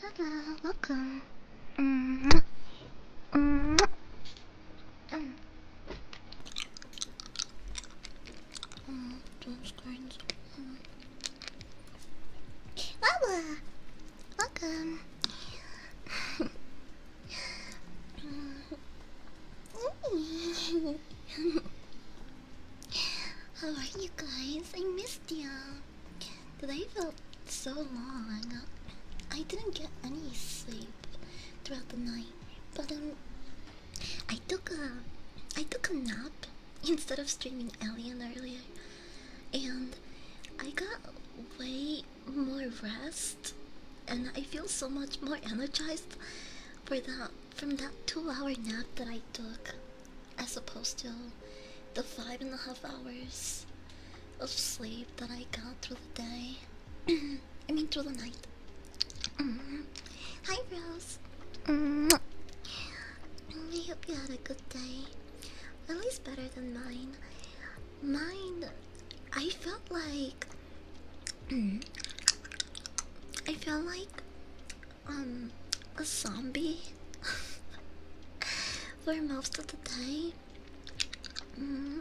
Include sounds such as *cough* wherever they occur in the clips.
Hello, welcome. Mm -hmm. Mm -hmm. Mm. Oh, those coins. Wawa! Welcome. How are you guys? I missed you today felt so long. I didn't get any sleep throughout the night, but um, I took took a nap instead of streaming Alien earlier, and I got way more rest, and I feel so much more energized for that from that two-hour nap that I took as opposed to the five and a half hours of sleep that I got through the day. *clears throat* I mean, through the night. Hi, Rose. I hope you had a good day. At least better than mine. Mine, I felt like. I felt like um, a zombie *laughs* for most of the time. Mm.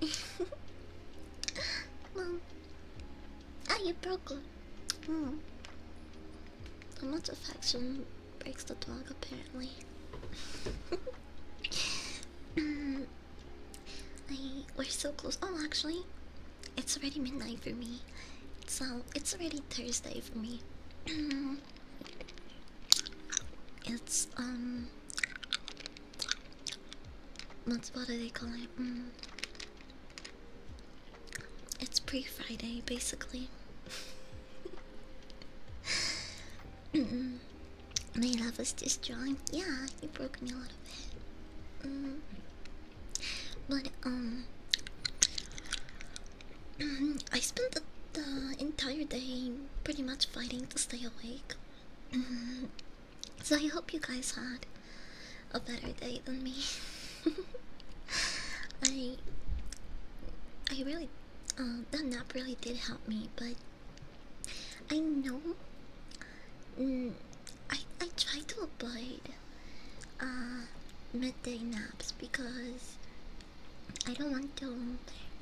*laughs* Mom, ah, you broke it. Mm. Too much affection breaks the dog, apparently. *laughs* Mm. I, we're so close. Oh, actually, it's already midnight for me. So it's already Thursday for me. *clears throat* It's um. what's what do they call it? Mm. It's pre-Friday, basically. *laughs* mm -mm. My love is just drawing. Yeah, you broke me a little bit. Mm. But um, *clears throat* I spent the, entire day pretty much fighting to stay awake. *clears throat* so I hope you guys had a better day than me. *laughs* I I really uh, that nap really did help me, but I know mm, I I try to avoid uh, midday naps because I don't want to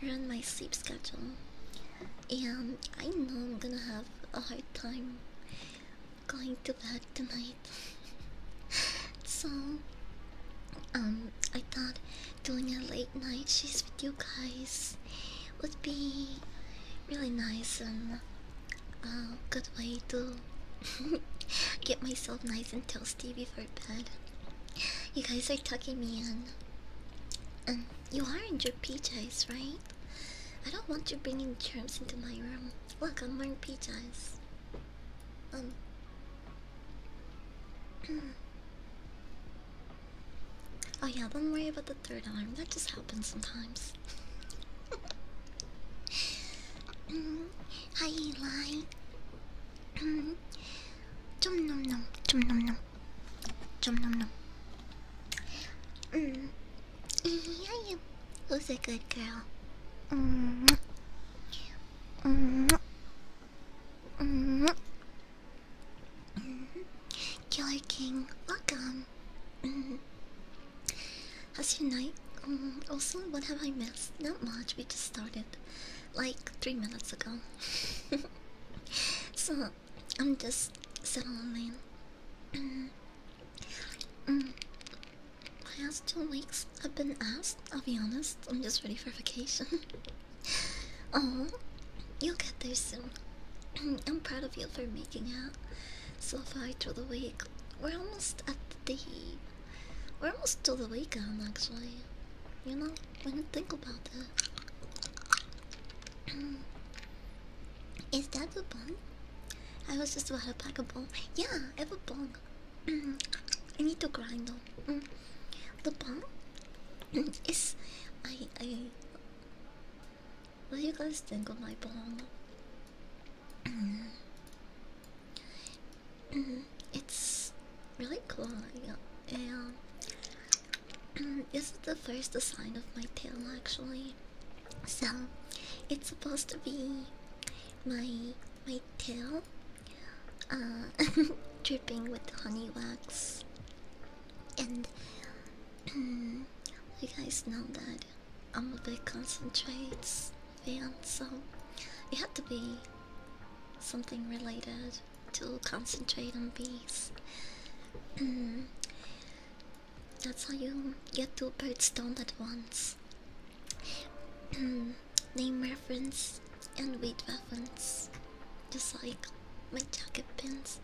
ruin my sleep schedule, and I know I'm gonna have a hard time going to bed tonight. *laughs* so, um, I thought doing a late night she's with you guys would be really nice and a good way to *laughs* get myself nice and toasty things before bed. You guys are tucking me in. And you are in your PJs, right? I don't want you bringing germs into my room. Look, I'm wearing PJs. Um. *clears throat* oh yeah, don't worry about the third alarm. That just happens sometimes. *laughs* Mm, hi Eli. *clears throat* Chum nom nom, chum nom nom, chum nom nom. Mm. Yeah, you was a good girl. Mm. Mm. Mm. Killer King, welcome. Mm. How's your night? Um, also, what have I missed? Not much. We just started like three minutes ago. *laughs* so I'm just settling in. *clears throat* mm. Past two weeks I've been asked, I'll be honest, I'm just ready for vacation. *laughs* oh, you'll get there soon. *clears throat* I'm proud of you for making it so far through the week. We're almost at the we're almost to the weekend actually. You know? I didn't think about *clears throat* is that the bong? I was just about to pack a bong. Yeah, I have a bong. *clears throat* I need to grind though. Mm. The bong *clears throat* is. I. I. What do you guys think of my bong? Mm-hmm. it's really cool. Yeah. *clears throat* this is the first design of my tail actually. So it's supposed to be my my tail uh, *laughs* dripping with honey wax and *clears throat* you guys know that I'm a big concentrates fan so it had to be something related to concentrate on bees. Mm. That's how you get two birds stoned at once. Mm. Name reference and weight reference, just like my jacket pins.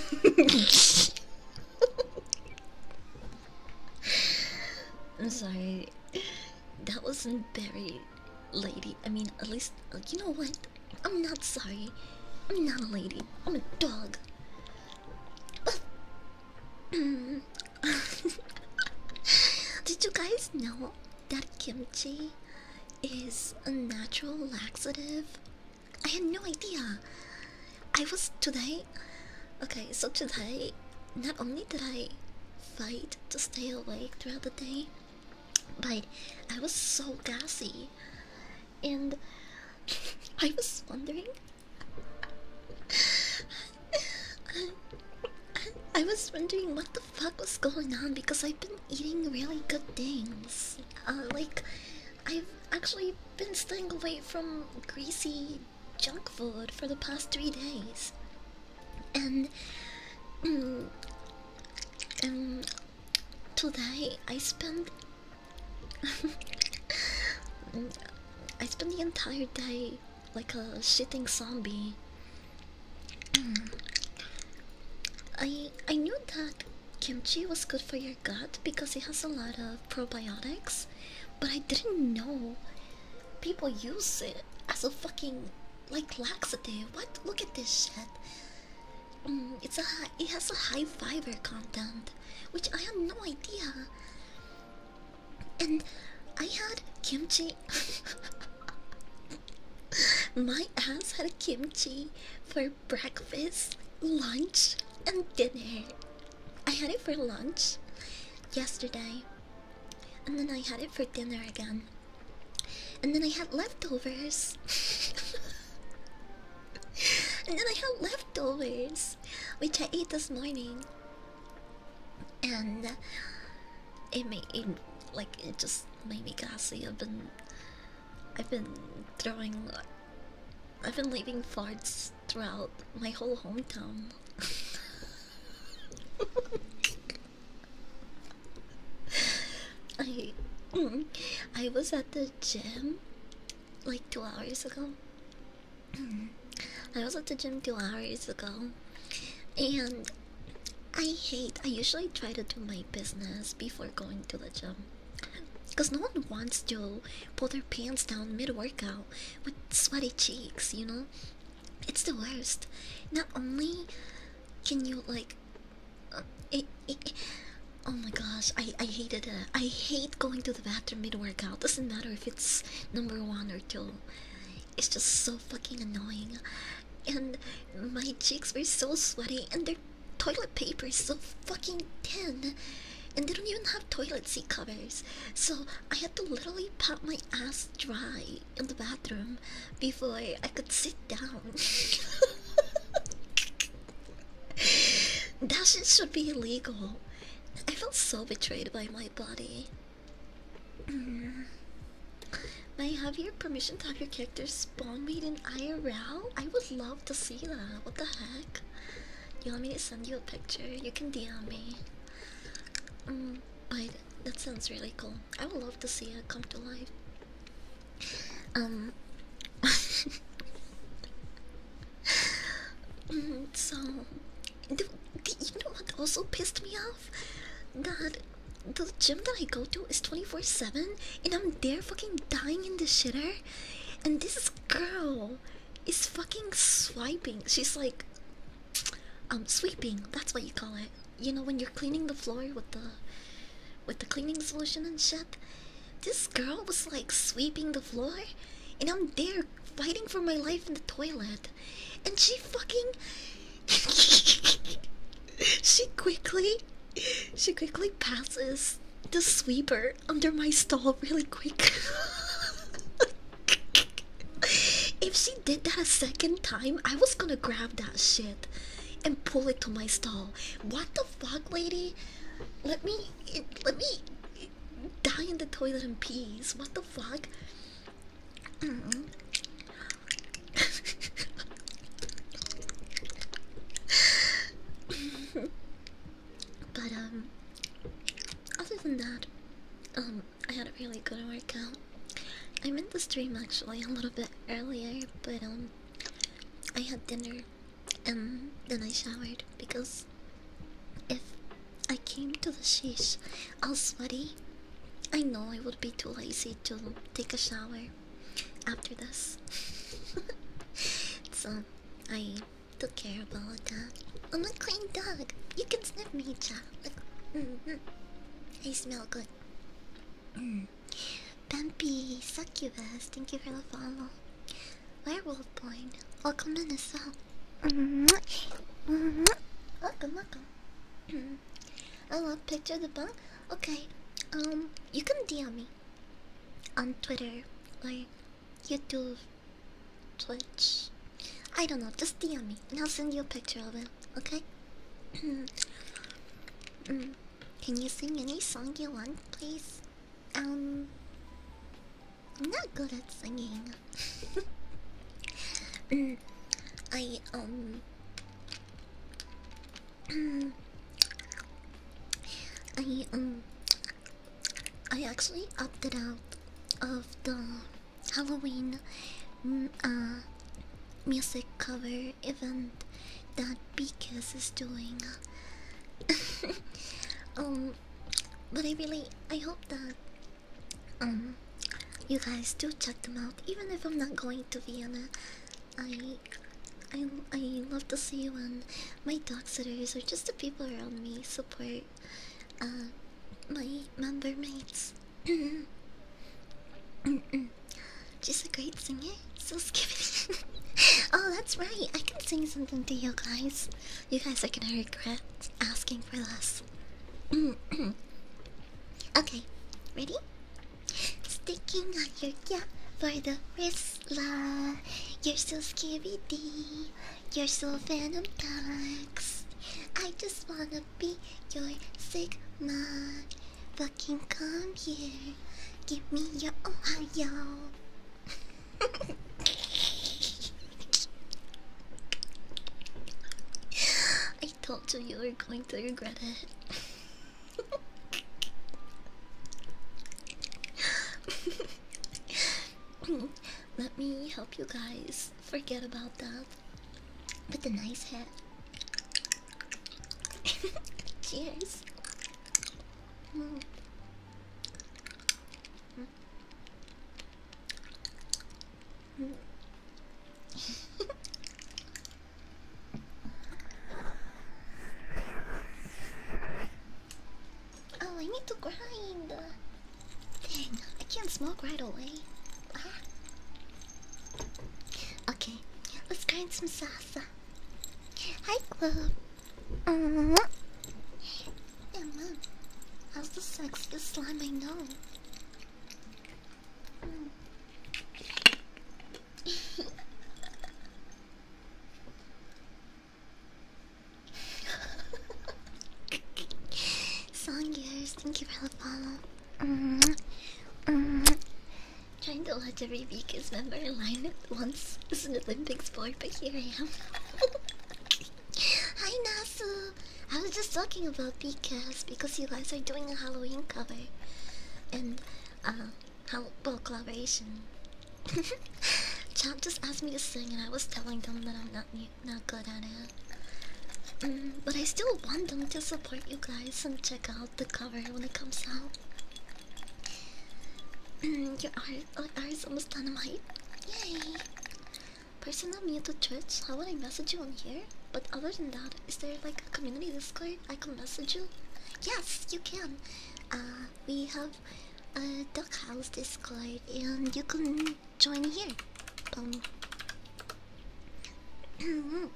*laughs* *laughs* I'm sorry. That wasn't very lady. I mean, at least uh, you know what? I'm not sorry. I'm not a lady. I'm a dog. *laughs* Did you guys know that kimchi is a natural laxative? I had no idea. I was today Okay, so today, not only did I fight to stay awake throughout the day, but I was so gassy. And *laughs* I was wondering. I was wondering what the fuck was going on because I've been eating really good things. Uh, like, I've actually been staying away from greasy junk food for the past three days, and mm, um, today I spent *laughs* I spent the entire day like a shitting zombie. I I knew that kimchi was good for your gut because it has a lot of probiotics, but I didn't know people use it as a fucking like laxative. What? Look at this shit. Mm, it's a it has a high fiber content, which I had no idea. And I had kimchi. *laughs* My ass had kimchi for breakfast, lunch, and dinner. I had it for lunch yesterday. And then I had it for dinner again. And then I had leftovers. *laughs* and then I had leftovers, which I ate this morning. And it made it, like it just made me gassy. I've been, I've been throwing, I've been leaving farts throughout my whole hometown. I mm, I was at the gym like two hours ago. I was at the gym two hours ago and I hate I usually try to do my business before going to the gym. Cause no one wants to pull their pants down mid workout with sweaty cheeks, you know? It's the worst. Not only can you like, uh, oh my gosh, I I hated it. I hate going to the bathroom mid workout. Doesn't matter if it's number one or two. It's just so fucking annoying, and my cheeks were so sweaty, and their toilet paper is so fucking thin, and they don't even have toilet seat covers. So I had to literally pop my ass dry in the bathroom before I could sit down. that shit should be illegal. I felt so betrayed by my body. Mm-hmm. May I have your permission to have your character spawn me in IRL? I would love to see that. What the heck? You want me to send you a picture? You can DM me. Mm. But that sounds really cool. I would love to see it come to life. Um. *laughs* so, the, you know what also pissed me off? That the gym that I go to is 24 7 and I'm there fucking dying in the shitter. And this girl is fucking swiping. She's like I'm um, sweeping. That's what you call it. You know when you're cleaning the floor with the with the cleaning solution and shit. This girl was like sweeping the floor, and I'm there fighting for my life in the toilet, and she fucking. *laughs* she quickly, she quickly passes the sweeper under my stall really quick. *laughs* if she did that a second time, I was gonna grab that shit and pull it to my stall. What the fuck, lady? Let me let me die in the toilet in peace. What the fuck? *laughs* but um other than that um I had a really good workout. I meant the stream actually a little bit earlier, but um, I had dinner and um, then I showered because if I came to the sheesh all sweaty, I know I would be too lazy to take a shower after this. *laughs* so I took care of all that. I'm a clean dog. You can sniff me, Jack. I smell good. Mm. Bambi, succubus, thank you for the follow. Werewolf Boy, welcome in the well. welcome, welcome. I love picture the bug. Okay, um, you can DM me on Twitter or YouTube, Twitch, I don't know, just DM me and I'll send you a picture of it, okay? *clears throat* Mm, can you sing any song you want, please? Um, I'm not good at singing. *laughs* Mm, I, um, *clears throat* I, um, I actually opted out of the Halloween mm, uh, music cover event that BKS is doing. *laughs* um, but I really I hope that um you guys do check them out. Even if I'm not going to Vienna, I I I love to see when my dog sitters or just the people around me support uh my member mates. She's a great singer. So skipping. *laughs* oh, that's right. I can sing something to you guys. You guys are gonna regret asking for less. *clears throat* okay, ready? Sticking on your yeah for the wristla. You're so scary D. You're so phantom ducks. I just wanna be your Sigma. Fucking come here. Give me your Ohio. I told you you were going to regret it. *laughs* Let me help you guys forget about that. Put the nice hat. *laughs* Cheers. *laughs* oh, I need to grind. Dang, I can't smoke right away. Ah. Okay, let's grind some salsa. Hi, club. Uh uh-huh. -huh. How's the sexiest slime I know? Hmm. *laughs* Song yours, thank you for the follow. Trying to watch every Beacons member in line at once is an Olympics sport, but here I am. Hi Nasu! I was just talking about Beacons because you guys are doing a Halloween cover and uh, how about collaboration. *laughs* Chad just asked me to sing, and I was telling them that I'm not new not good at it. Mm, but I still want them to support you guys and check out the cover when it comes out. Mm, your art, oh, art's almost dynamite. Yay! Personal Mewtwo Twitch, how would I message you on here? But other than that, is there like a community Discord I can message you? Yes, you can! Uh, we have a Duck House Discord and you can can join here. Boom. Um,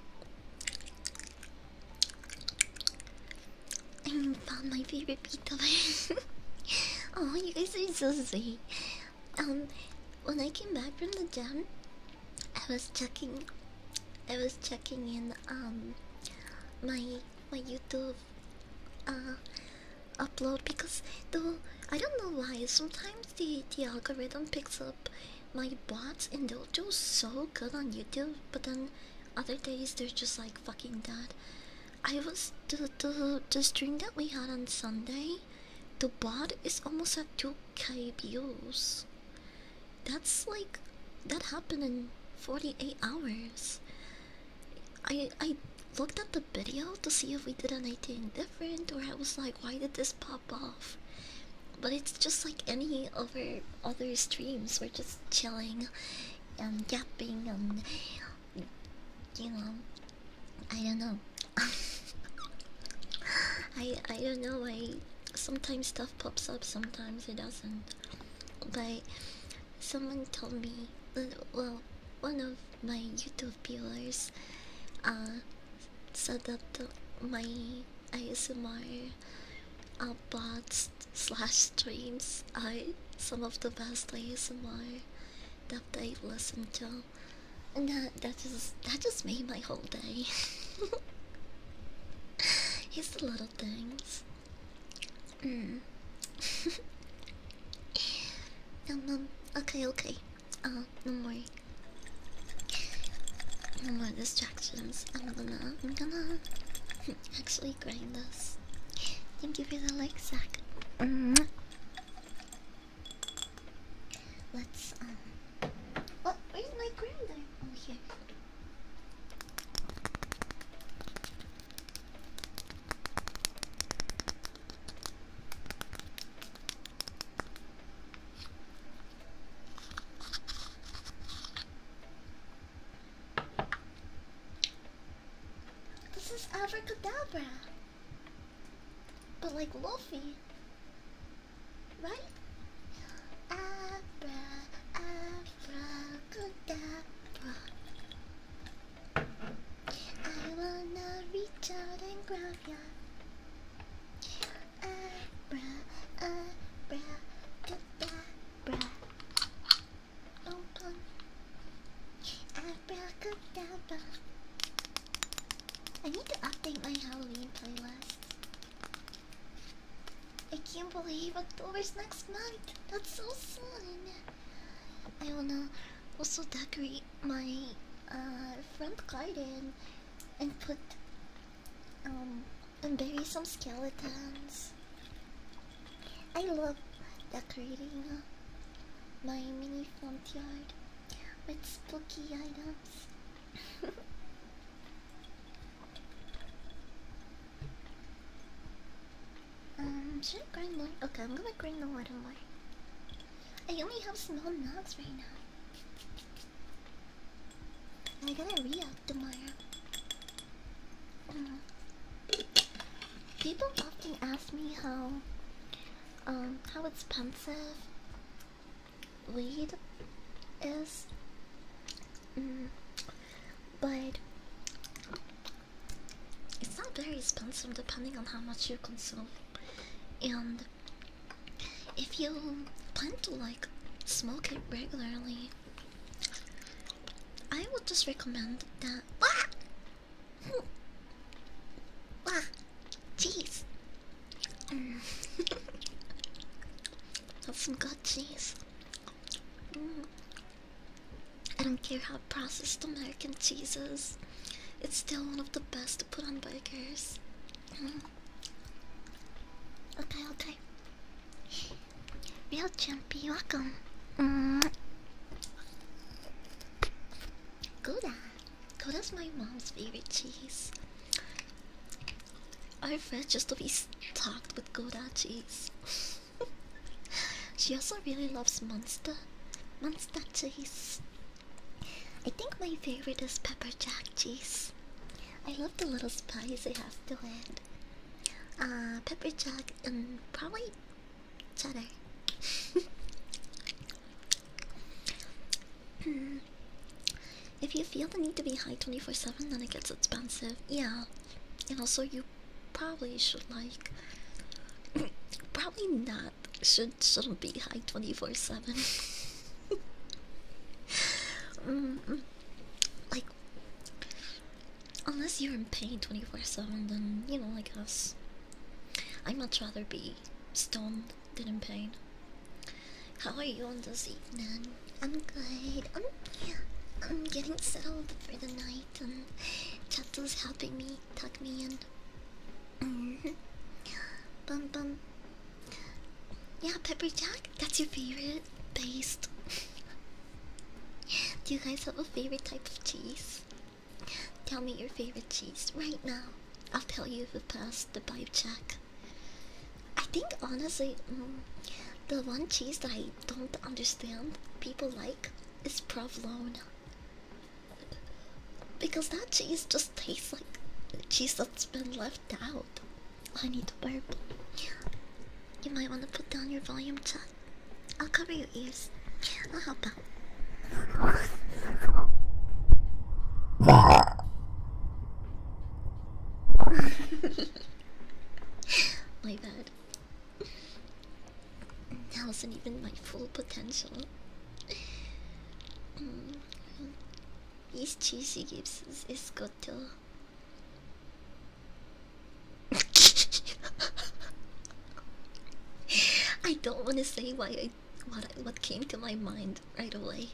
I found my favorite beethoven. *laughs* oh, you guys are so sweet. Um, when I came back from the gym, I was checking, I was checking in um my my YouTube uh upload because though I don't know why sometimes the the algorithm picks up my bots and they'll do so good on YouTube, but then other days they're just like fucking dead. I was the the the stream that we had on Sunday. The bot is almost at 2k views. That's like that happened in 48 hours. I I looked at the video to see if we did anything different or I was like why did this pop up? But it's just like any other other streams. We're just chilling and yapping and you know I don't know. *laughs* I I don't know. I sometimes stuff pops up, sometimes it doesn't. But someone told me uh, well one of my YouTube viewers uh Said that my ASMR uh, bots slash streams. I some of the best ASMR that I've listened to, and that that just that just made my whole day. it's *laughs* the little things. Mm. um, *laughs* okay, okay. Uh, no more. No more distractions. I'm gonna, I'm *laughs* gonna actually grind this. Thank you for the like, Zach. Mm-hmm. Let's um. What? Where's my grinder? here. This is Abracadabra. But like Luffy. Right? Abra, abracadabra. I wanna reach out and grab ya. I need to update my Halloween playlist. I can't believe October's next month. That's so soon. I wanna also decorate my uh, front garden and put um and bury some skeletons. I love decorating uh, my mini front yard with spooky items. *laughs* um, should I grind more? Okay, I'm gonna grind the water more. I only have small knots right now. I gotta re up tomorrow. Uh, people often ask me how um how expensive weed is. Mm, but it's not very expensive depending on how much you consume. And if you plan to like smoke it regularly, I would just recommend that. Ah! Hmm. Ah, jeez. Mm. some *laughs* good cheese. Mm. I don't care how processed American cheese is. It's still one of the best to put on bikers. Mm. Okay, okay. Real Champy, welcome. Mm. Gouda. Gouda's my mom's favorite cheese. i Our friends just to be talked with Gouda cheese. *laughs* she also really loves Monster. Monster cheese. I think my favorite is pepper jack cheese. I love the little spice it has to it. Uh, pepper jack and probably cheddar. Hmm. if you feel the need to be high 24 7, then it gets expensive. Yeah. And also, you probably should like. *coughs* probably not. Should shouldn't be high 24 7. *laughs* *laughs* Um, um, like, unless you're in pain 24-7, then, you know, I guess. I'd much rather be stoned than in pain. How are you on this evening? I'm good. I'm, yeah, I'm getting settled for the night and Chato's helping me tuck me in. Mm -hmm. Yeah, Pepper Jack, that's your favorite based. *laughs* Do you guys have a favorite type of cheese? Tell me your favorite cheese right now. I'll tell you if it passed the vibe check. I think honestly, mm, the one cheese that I don't understand people like is provolone. Because that cheese just tastes like cheese that's been left out. I need to burp. You might want to put down your volume, chat. I'll cover your ears. I'll help out. *laughs* my bad. That wasn't even my full potential. These cheesy games is, good too. *laughs* I don't want to say why I what what came to my mind right away.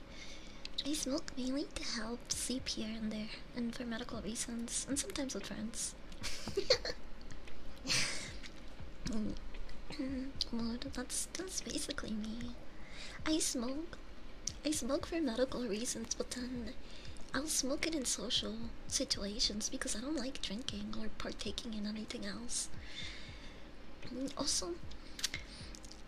I smoke mainly to help sleep here and there, and for medical reasons, and sometimes with friends. *laughs* Mm, mm, that's that's basically me. I smoke. I smoke for medical reasons, but then I'll smoke it in social situations because I don't like drinking or partaking in anything else. Also,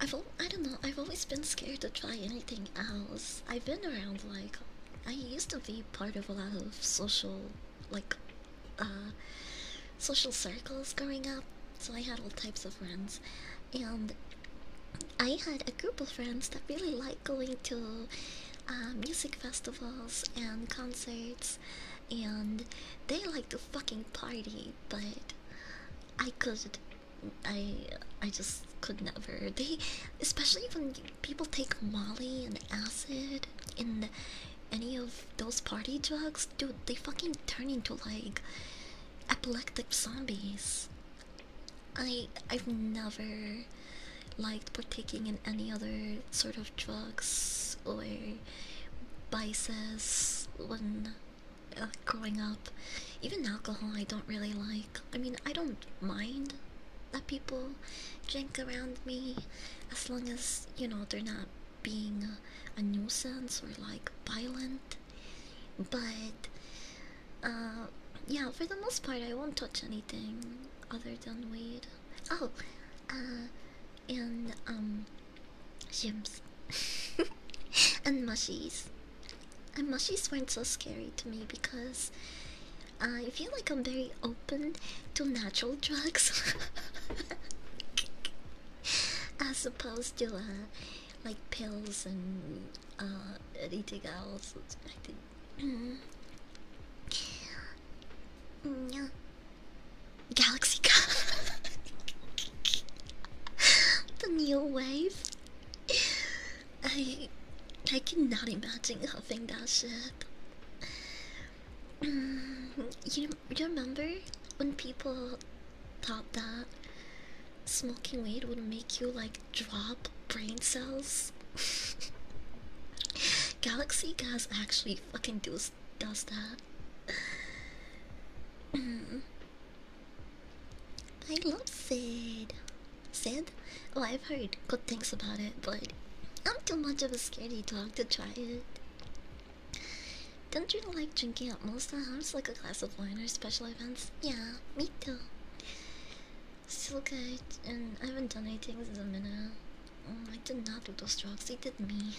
I've I don't know. I've always been scared to try anything else. I've been around like I used to be part of a lot of social like uh, social circles growing up so I had all types of friends, and I had a group of friends that really liked going to uh, music festivals and concerts, and they like to fucking party, but I could, I, I just could never. They, especially when people take Molly and acid and any of those party drugs, dude, they fucking turn into like epileptic zombies. I I've never liked partaking in any other sort of drugs or vices when uh, growing up. Even alcohol, I don't really like. I mean, I don't mind that people drink around me as long as you know they're not being a nuisance or like violent but uh, yeah, for the most part, I won't touch anything other than weed. Oh, uh, and um, shims *laughs* and mushies. And mushies weren't so scary to me because uh, I feel like I'm very open to natural drugs I *laughs* suppose to like pills and uh, anything else. I did Galaxy *laughs* The new wave. I I cannot imagine having that shit. you you remember when people Thought that. Smoking weed would make you like drop brain cells. *laughs* Galaxy gas actually fucking does does that. Mm. I love Sid. Sid? Oh, I've heard good things about it, but I'm too much of a scaredy dog to try it. Don't you like drinking at most times, like a glass of wine or special events? Yeah, me too. So good, and I haven't done anything in a minute. Oh, I did not do those drugs, they did me.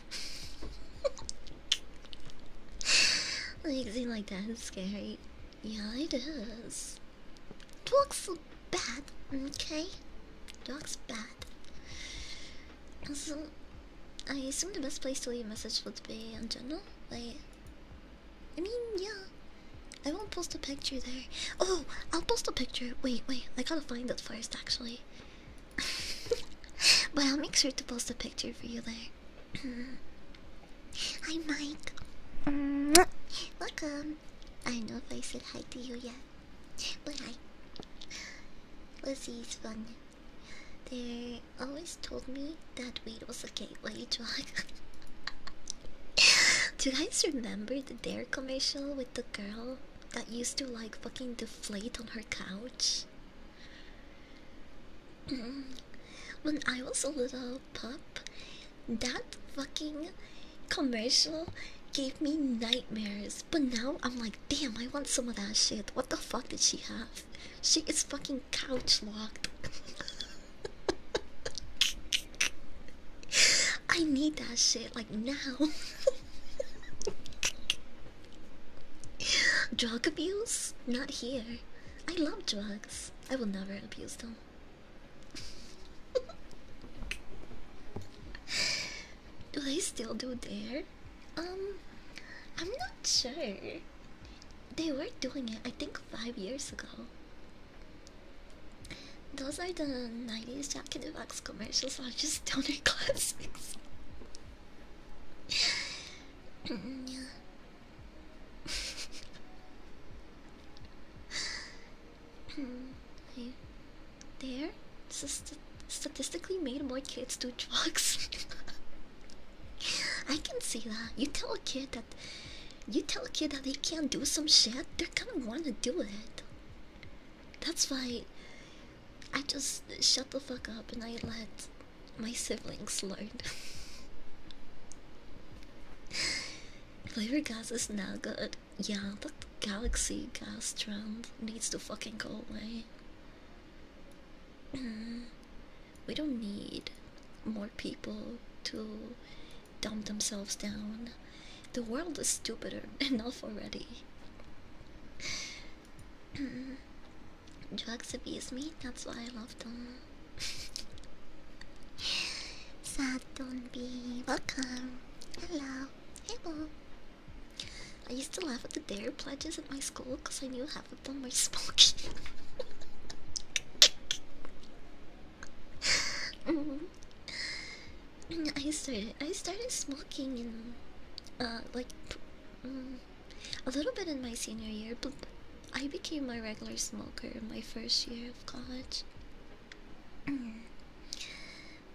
*laughs* like, see, like that is scary. Yeah, it is. Drugs are bad, okay? Drugs bad. Also, I assume the best place to leave a message would be on general. right? I mean, yeah. I won't post a picture there. Oh, I'll post a picture. Wait, wait. I gotta find it first, actually. but *laughs* I'll make sure to post a picture for you there. *clears throat* hi, Mike. Welcome. I don't know if I said hi to you yet, but hi. Let's see, it's fun. There always told me that weed was a gateway drug. *laughs* *laughs* Do you guys remember the Dare commercial with the girl that used to like fucking deflate on her couch? *clears throat* when I was a little pup, that fucking commercial gave me nightmares. But now I'm like, damn, I want some of that shit. What the fuck did she have? She is fucking couch locked. I need that shit like now. Drug abuse? Not here. I love drugs. I will never abuse them. do they still do there? Um, I'm not sure. They were doing it, I think, five years ago. Those are the 90s Jack in the Box commercials are just donor *laughs* classics. Mm, *laughs* mm, they're st statistically made more kids do drugs. *laughs* I can see that. You tell a kid that you tell a kid that they can't do some shit, they're gonna wanna do it. That's why I just shut the fuck up and I let my siblings learn. *laughs* Flavor gas is not good. Yeah, that galaxy gas trend needs to fucking go away. Mm. We don't need more people to dumb themselves down. The world is stupid *laughs* enough already. *clears throat* Drugs abuse me, that's why I love them. *laughs* Sad don't be welcome. Hello. Hello. I used to laugh at the dare pledges at my school because I knew *laughs* Mm. I started. smoking in, uh, like, mm, a little bit in my senior year, but I became a regular smoker in my first year of college.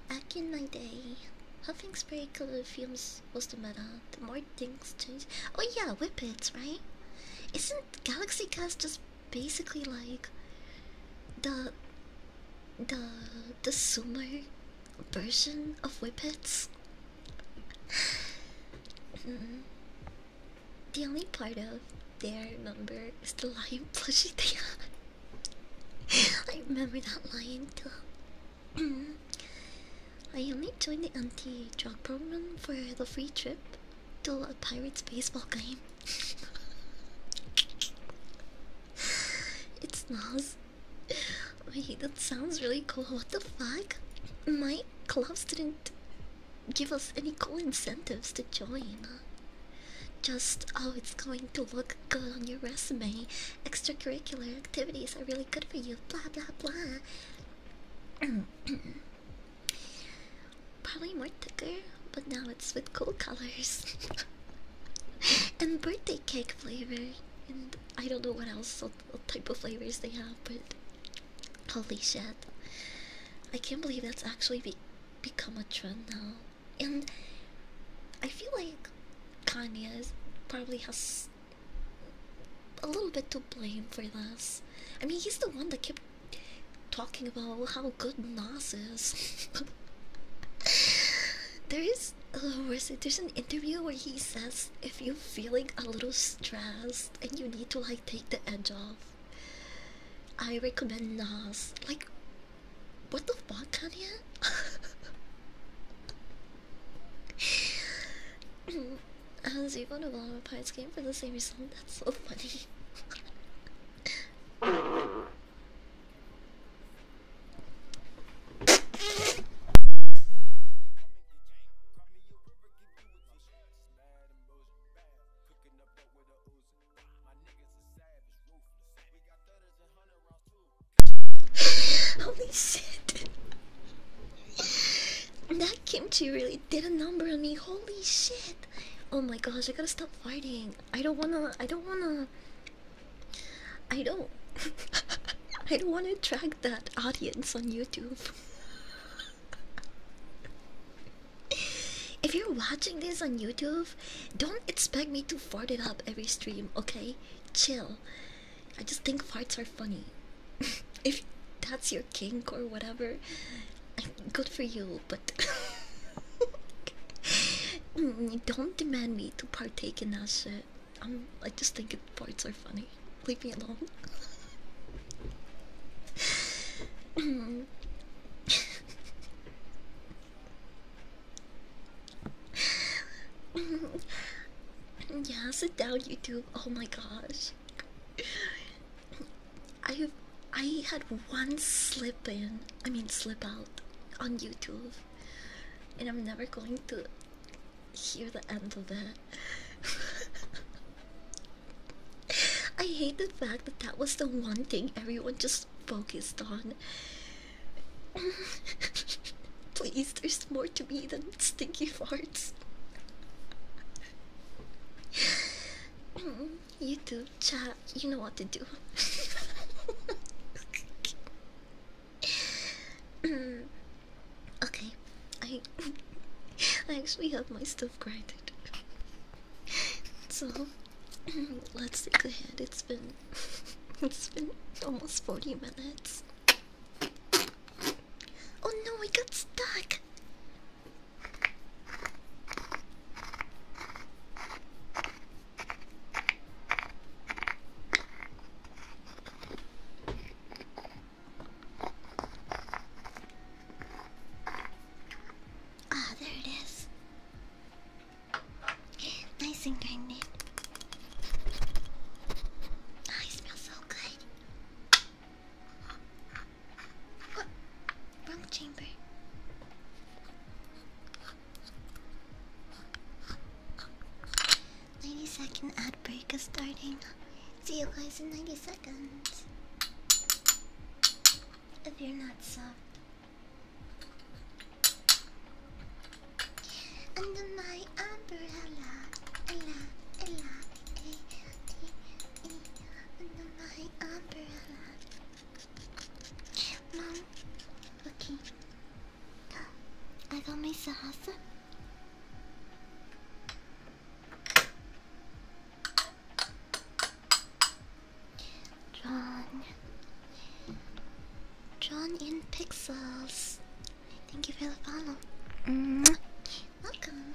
Back in my day, huffing spray colored fumes was the meta the more things change. Oh yeah, whippets, right? Isn't Galaxy Cast just basically like the the the summer version of whippets? mm The only part of their number is the lion *laughs* plushie thing. I remember that lion too. *clears throat* I only joined the anti-drug program for the free trip to a pirates baseball game. it smells. Wait, that sounds really cool. What the fuck? My clubs didn't give us any cool incentives to join. Just, oh, it's going to look good on your resume. Extracurricular activities are really good for you. Blah blah blah. *coughs* Probably more thicker, but now it's with cool colors *laughs* and birthday cake flavor. And I don't know what else, what type of flavors they have, but holy shit! I can't believe that's actually become a trend now. And I feel like Kanye probably has a little bit to blame for this. I mean, he's the one that kept talking about how good Nas is. *laughs* there is, oh, uh, where's it? There's an interview where he says if you're feeling a little stressed and you need to like take the edge off, I recommend Nas. Like, what the fuck, Kanye? *laughs* *laughs* Has Evo and Oblama Pies game for the same reason That's so funny. *laughs* Holy shit that kimchi really did a number on me. Holy shit! Oh my gosh, I gotta stop fighting. I don't wanna. I don't wanna. I don't. *laughs* I don't wanna attract that audience on YouTube. *laughs* If you're watching this on YouTube, don't expect me to fart it up every stream, okay? Chill. I just think farts are funny. *laughs* if that's your kink or whatever, good for you, but *laughs* don't demand me to partake in that shit. I'm, I just think it parts are funny. Leave me alone. *laughs* yeah, sit down, YouTube. Oh my gosh. I I had one slip in, I mean slip out on YouTube, and I'm never going to hear the end of it. *laughs* I hate the fact that that was the one thing everyone just focused on. *laughs* Please, there's more to me than stinky farts. *sighs* you do, chat. You know what to do. okay, I I actually have my stuff grinded. So let's look ahead. It's been *laughs* it's been almost forty minutes. Oh no, I got stuck. Ah, there it is. Nice and grinded. Ah, it smells so good. Oh, wrong chamber. Ninety second ad break is starting. See you guys in ninety seconds. If you're not soft. Under my umbrella, under my umbrella. Mom, okay. I got my sauce. Drawn. Drawn in pixels. Thank you for the follow. Mm Welcome.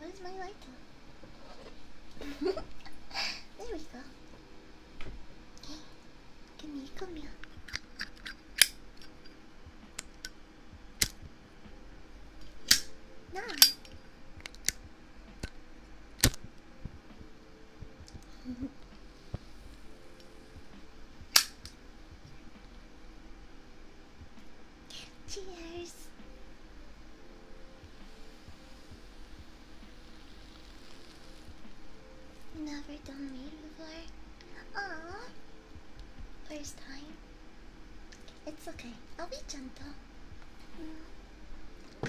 Where's my light? *laughs* there we go. Okay, come here, come No. *laughs* Cheers. Never done me before. Aww. First time. It's okay. I'll be gentle. Mm. Ah.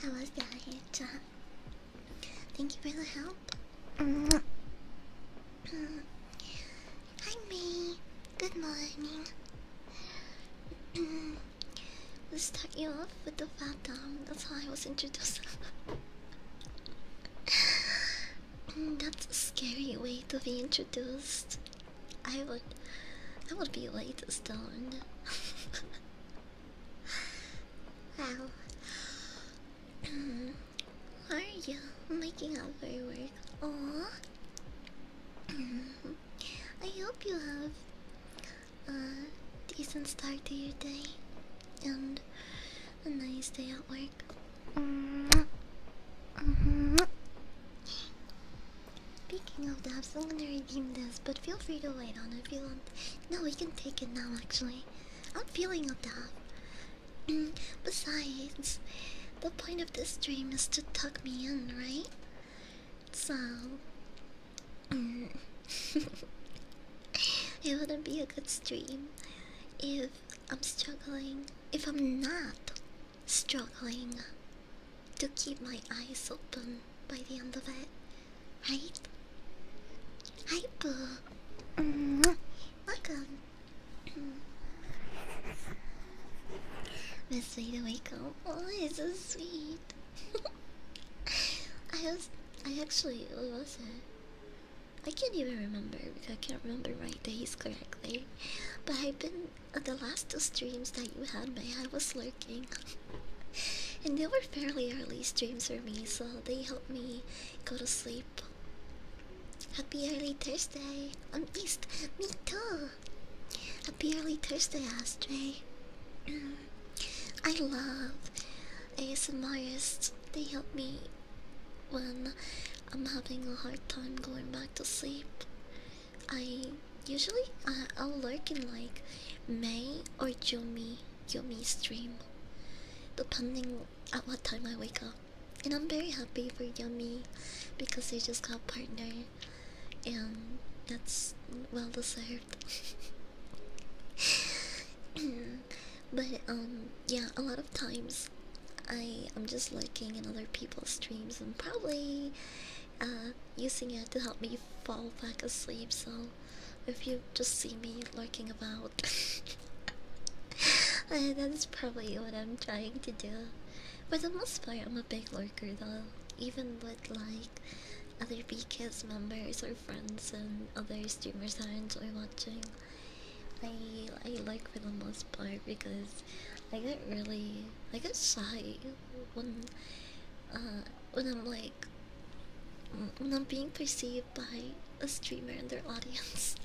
I was down here, John. Thank you for the help. Hi, May. Good morning. Let's start you off with the phantom. That's how I was introduced. That's a scary way to be introduced. I would, I would be late stoned. *laughs* wow. Mm-hmm. are you making up very your work? Mm-hmm. I hope you have a decent start to your day and a nice day at work. Mm-hmm. Speaking of that, I'm gonna redeem this, but feel free to wait on it if you want. No, we can take it now, actually. I'm feeling a dab. Besides, the point of this stream is to tuck me in, right? So, *laughs* it wouldn't be a good stream if I'm struggling, if I'm not struggling to keep my eyes open by the end of it, right? Hi, Boo. Mm-hmm. Welcome. Let's me the wake up. Oh, it's so sweet. *laughs* I was, I actually, what was it? I can't even remember because I can't remember right days correctly. But I've been uh, the last two streams that you had, me, I was lurking, *laughs* and they were fairly early streams for me, so they helped me go to sleep Happy early Thursday. I'm East. Me too. Happy early Thursday, Astray. Mm. I love ASMRists. They help me when I'm having a hard time going back to sleep. I usually uh, I'll lurk in like May or Yumi Yumi stream, depending at what time I wake up and I'm very happy for Yummy because they just got partner, and that's well deserved. *laughs* but um, yeah, a lot of times I am just lurking in other people's streams and probably uh, using it to help me fall back asleep. So if you just see me lurking about. *laughs* *laughs* Uh, That's probably what I'm trying to do. For the most part, I'm a big lurker though. Even with like other BKS members or friends and other streamers I enjoy watching, I I like for the most part because I get really I get shy when uh when I'm like when I'm being perceived by a streamer and their *laughs* audience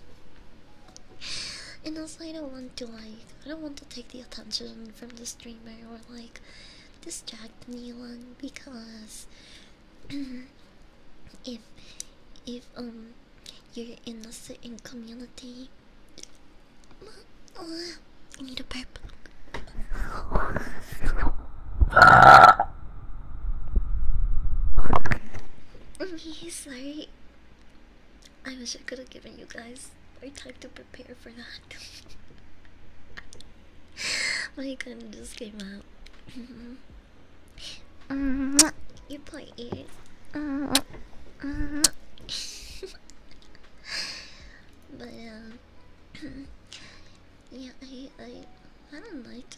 and also I don't want to like I don't want to take the attention from the streamer or like distract anyone because *clears throat* if if um you're in a certain community I uh, need a burp. He's *laughs* like. I wish I could have given you guys more time to prepare for that. *laughs* My gun just came out. you play it. *laughs* but um, *clears throat* yeah, I, I, I don't like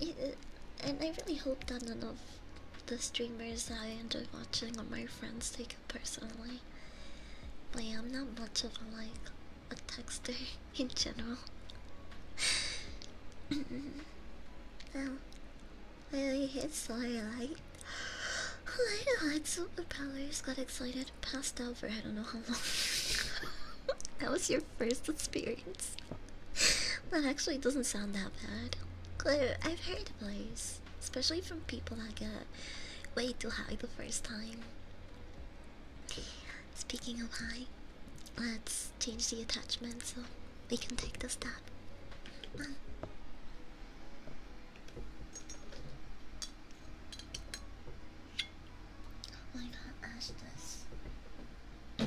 it, and I really hope that none of the streamers that I enjoy watching are my friends take it personally. But I'm not much of a like a texter *laughs* in general. oh, *laughs* I hit hate Starlight. I had superpowers, got excited, passed out for I don't know how long. *laughs* that was your first experience. that actually doesn't sound that bad. Claire, I've heard of those, especially from people that get way too high the first time. Speaking of high, let's change the attachment so we can take the step. Oh my god, Ash this.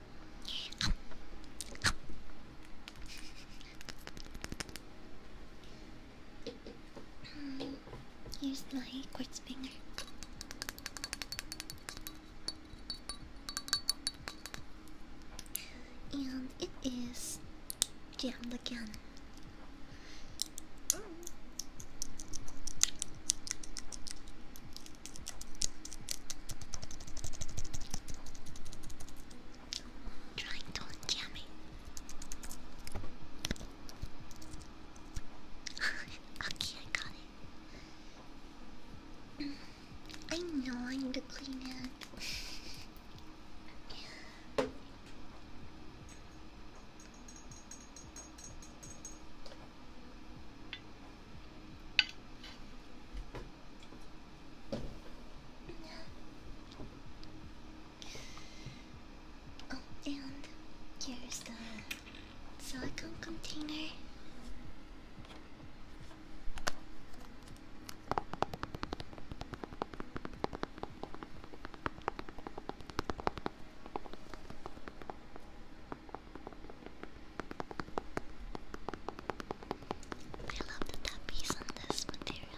Here's my quartz finger. And it is jammed again. Trying to scare me. okay, I got it. I know I need to clean it. Oh, and here's the silicone container. I love the tappies on this material.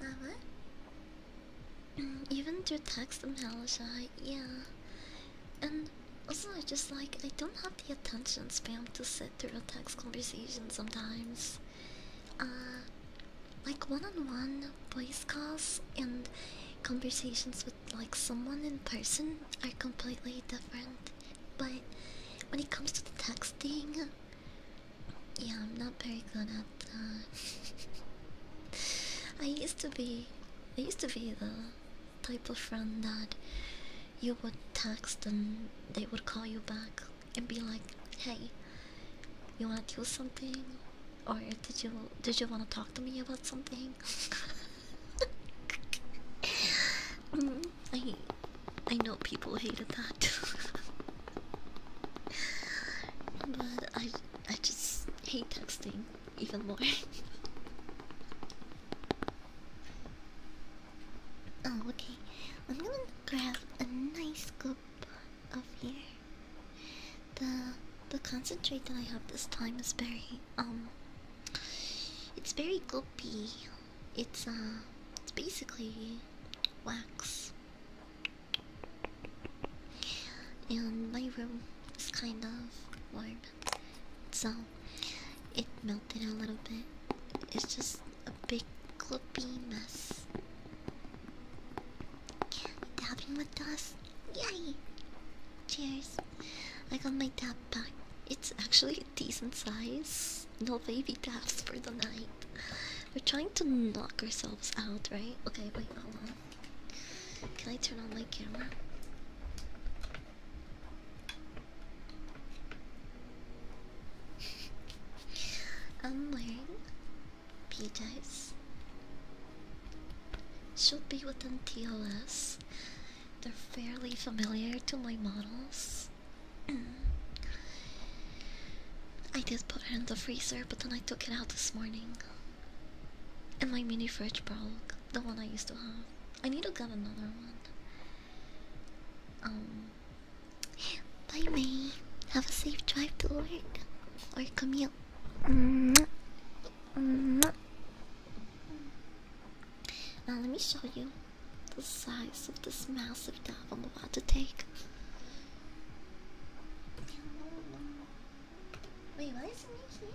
Lava? Even through text Malaysia, yeah. And also I just like I don't have the attention span to sit through a text conversation sometimes uh, like one-on-one -on -one voice calls and conversations with like someone in person are completely different. But when it comes to the texting, yeah, I'm not very good at that. Uh, *laughs* I used to be, I used to be the type of friend that you would text and they would call you back and be like, "Hey, you want to do something, or did you did you want to talk to me about something?" *laughs* I I know people hated that, *laughs* but I I just hate texting even more. *laughs* Oh, okay. I'm gonna grab a nice scoop up here. The the concentrate that I have this time is very um it's very goopy. It's uh it's basically wax. And my room is kind of warm. So it melted a little bit. It's just a big gloopy mess. Dabbing with dust. Yay! Cheers. I got my dab back. It's actually a decent size. No baby dabs for the night. We're trying to knock ourselves out, right? Okay, wait, hold on. Can I turn on my camera? I'm *laughs* wearing PJs. Should be within TOS. They're fairly familiar to my models. *clears throat* I did put it in the freezer, but then I took it out this morning. And my mini fridge broke, the one I used to have. I need to get another one. Um, Bye, May. Have a safe drive to work or commute. Mm Now, let me show you the size of this massive dab I'm about to take. Wait, why isn't it here?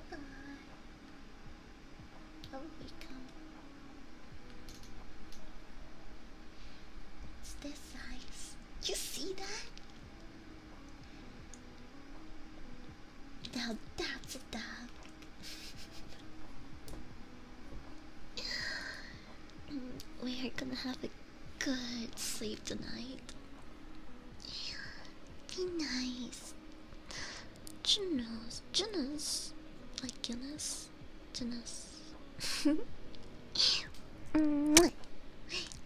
Oh, we come. It's this size. You see that? Now that's a dog. *laughs* we are gonna have a good sleep tonight. Be nice. Junos, Junos, like Guinness, Junos.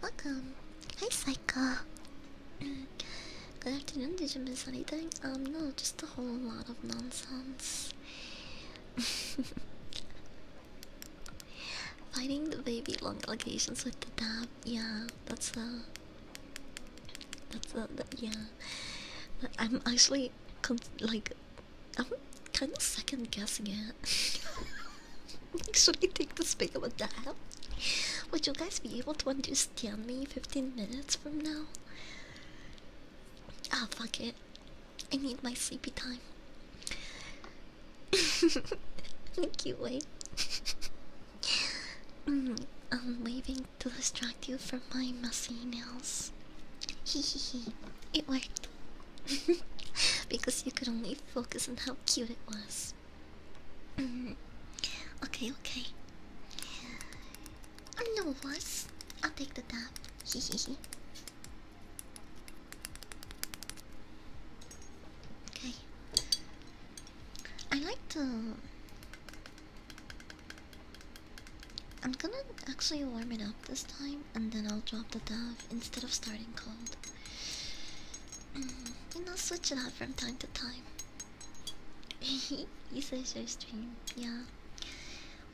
Welcome. Hi, Psycho. Good afternoon. Did you miss anything? Um, no, just a whole lot of nonsense. *laughs* Fighting the baby long allocations with the dab. Yeah, that's a. Uh, that's uh, a. yeah. I'm actually like I'm kind of second guessing it. Should *laughs* I take this big of a dial? Would you guys be able to understand me 15 minutes from now? Ah, fuck it. I need my sleepy time. *laughs* Thank you, Wade. *laughs* Mm, I'm waving to distract you from my messy nails. Hee hee hee. It worked. *laughs* because you could only focus on how cute it was. Mm-hmm. okay, okay. I know what. I'll take the dab. *laughs* okay. I like to. I'm gonna actually warm it up this time and then I'll drop the dove instead of starting cold. Mm, you know, switch it up from time to time. *laughs* you says your stream, yeah.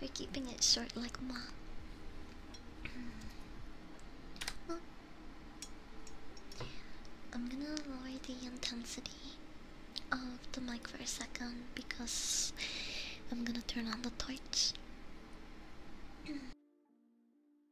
We're keeping it short like ma. Mm. I'm gonna lower the intensity of the mic for a second because I'm gonna turn on the torch. Mm.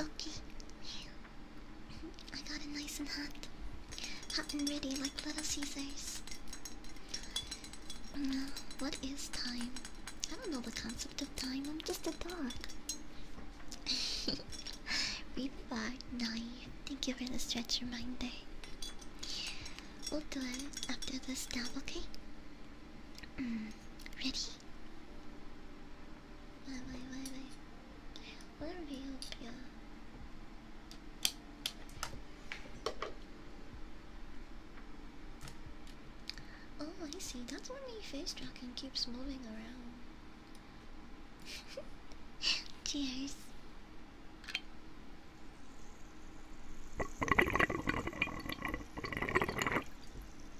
Okay. I got it nice and hot. Hot and ready like Little Caesars. Mm, what is time? I don't know the concept of time, I'm just a dog. *laughs* Rebar 9. Thank you for the stretch reminder. We'll do it after this dab, okay? Mm, ready? Wait, wait, wait, wait. Oh, I see. That's why my face tracking keeps moving around. *laughs* Cheers.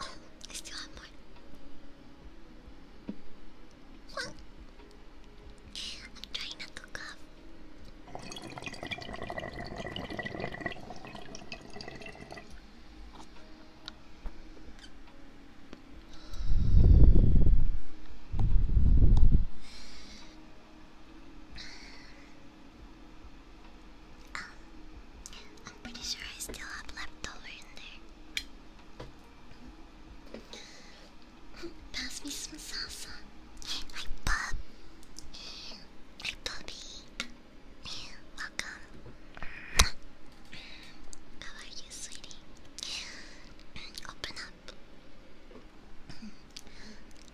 Oh, I still have more. What? I'm trying not to cough. Um, I'm pretty sure I still have leftover in there. Pass me some salsa. Hi, Bob. Hi, Bobby. Welcome. How are you, sweetie? Open up.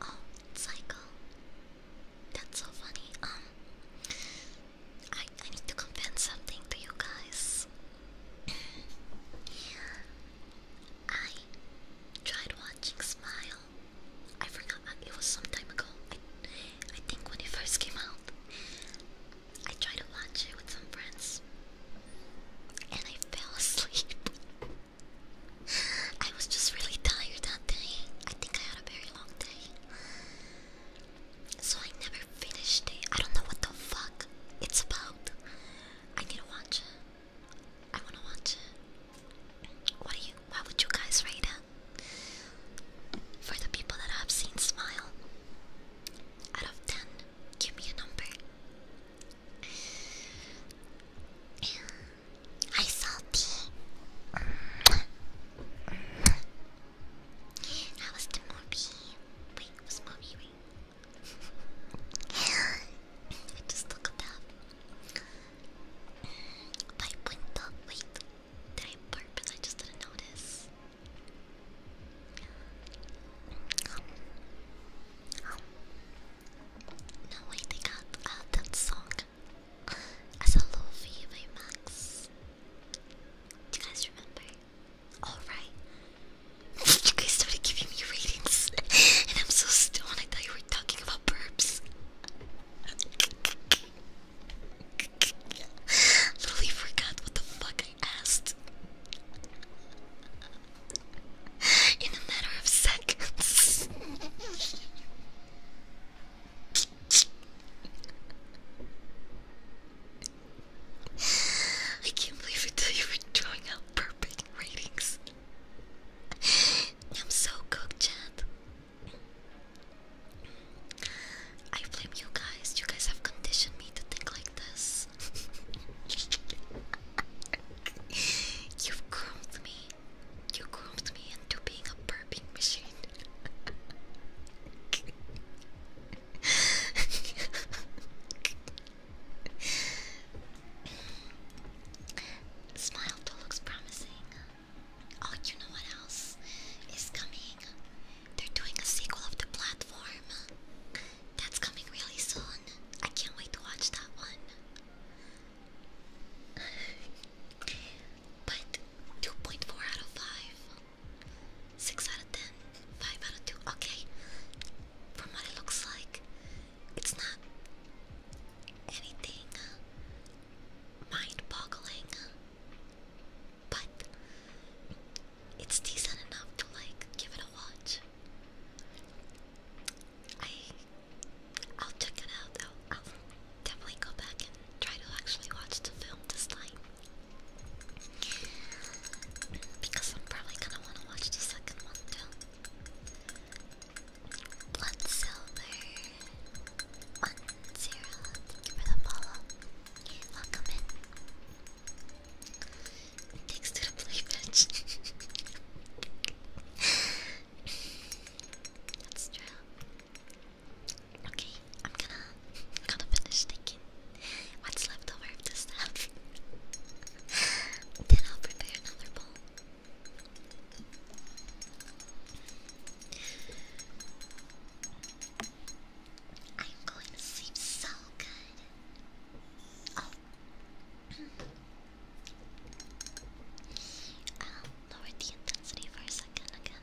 oh, cycle. That's so funny. Um, I I need to confess something to you guys. *clears throat* I tried watching Smile. I forgot. Uh, it was some time ago. I, I think when it first came out, I tried to watch it with some friends, and I fell *laughs* asleep. I was just really tired that day. I think I had a very long day. So I never finished it. I don't know what the fuck it's about. I need to watch it. I wanna watch it. What do you why would you guys rate it? For the people that I've seen smile. Out of ten, give me a number. I Salty. That was the movie. Wait, was mommy. Wait. *laughs* just look at that. By Punta. Wait. Did I burp? I just didn't notice. Um, wait, they got uh, that song as a Luffy by Max. Do you guys remember? Alright. you guys started giving me ratings, and I'm so stoned. I thought you were talking about burps. Literally forgot what the fuck I asked. In a matter of seconds. *sighs* I can't believe it that you were drawing out perfect ratings. *sighs* I'm so cooked, chat. I blame you guys. You guys have conditioned me to think like this. *laughs* You've groomed me. You groomed me into being a burping machine. Smile though looks promising. Oh, you know what else is coming? They're doing a sequel of the platform. That's coming really soon. I can't wait to watch that one. But 2.4 out of 5. 6 out of 10. 5 out of 2. Okay. From what it looks like, it's not anything mind boggling. But it's decent enough to like give it a watch. I I'll check it out. i I'll definitely go back and try to actually watch the film this time. Because I'm probably gonna wanna watch the second one too. Blood Silver. One zero. Thank you for the follow. Welcome in. Thanks to the play pitch. *laughs* That's true. Okay, I'm gonna gonna finish taking what's left of the stuff. *laughs* then I'll prepare another bowl. I'm going to sleep so good. I'll oh. *clears throat* um, lower the intensity for a second again.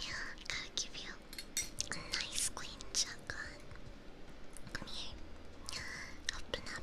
Yeah, gotta give you a nice clean shotgun. Come here. Open up.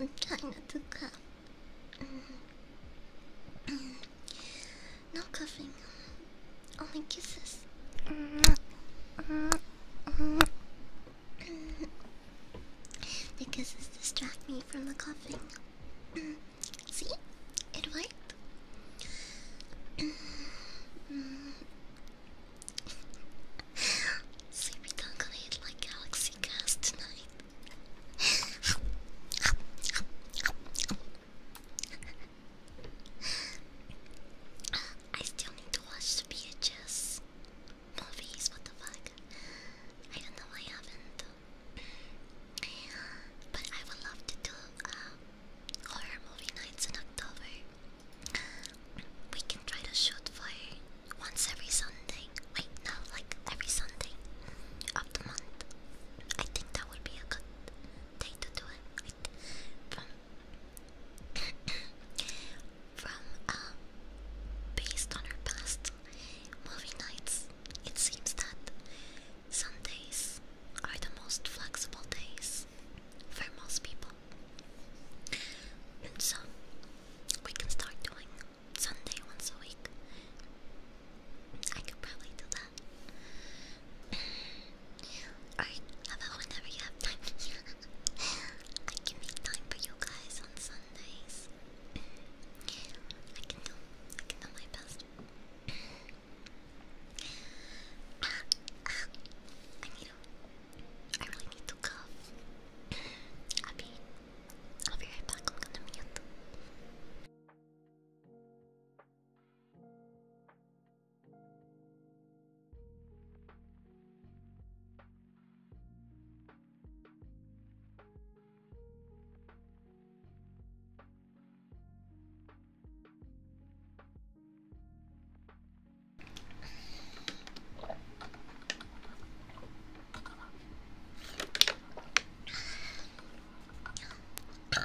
I'm trying not to cough. no coughing. Only kisses. the kisses distract me from the coughing. See? It worked. Sleepy Dog going like Galaxy Cast tonight. I still need to watch the VHS movies, what the fuck? I don't know, I haven't. But I would love to do uh, horror movie nights in October. We can try to shoot for once every Sunday. Wait, no, like every Sunday of the month. I think that would be a good day to do it. from *coughs* from uh, based on our past movie nights, it seems that Sundays are the most flexible days for most people. And so, we can start doing Sunday once a week. I could probably do that. *sighs* or, about whenever you have time? *laughs* I can make time for you guys on Sundays. I can do, I can do my best. *sighs* Ah, ah, I need I really need to cough. I I'll be right back. I'm gonna mute. That felt good. *laughs*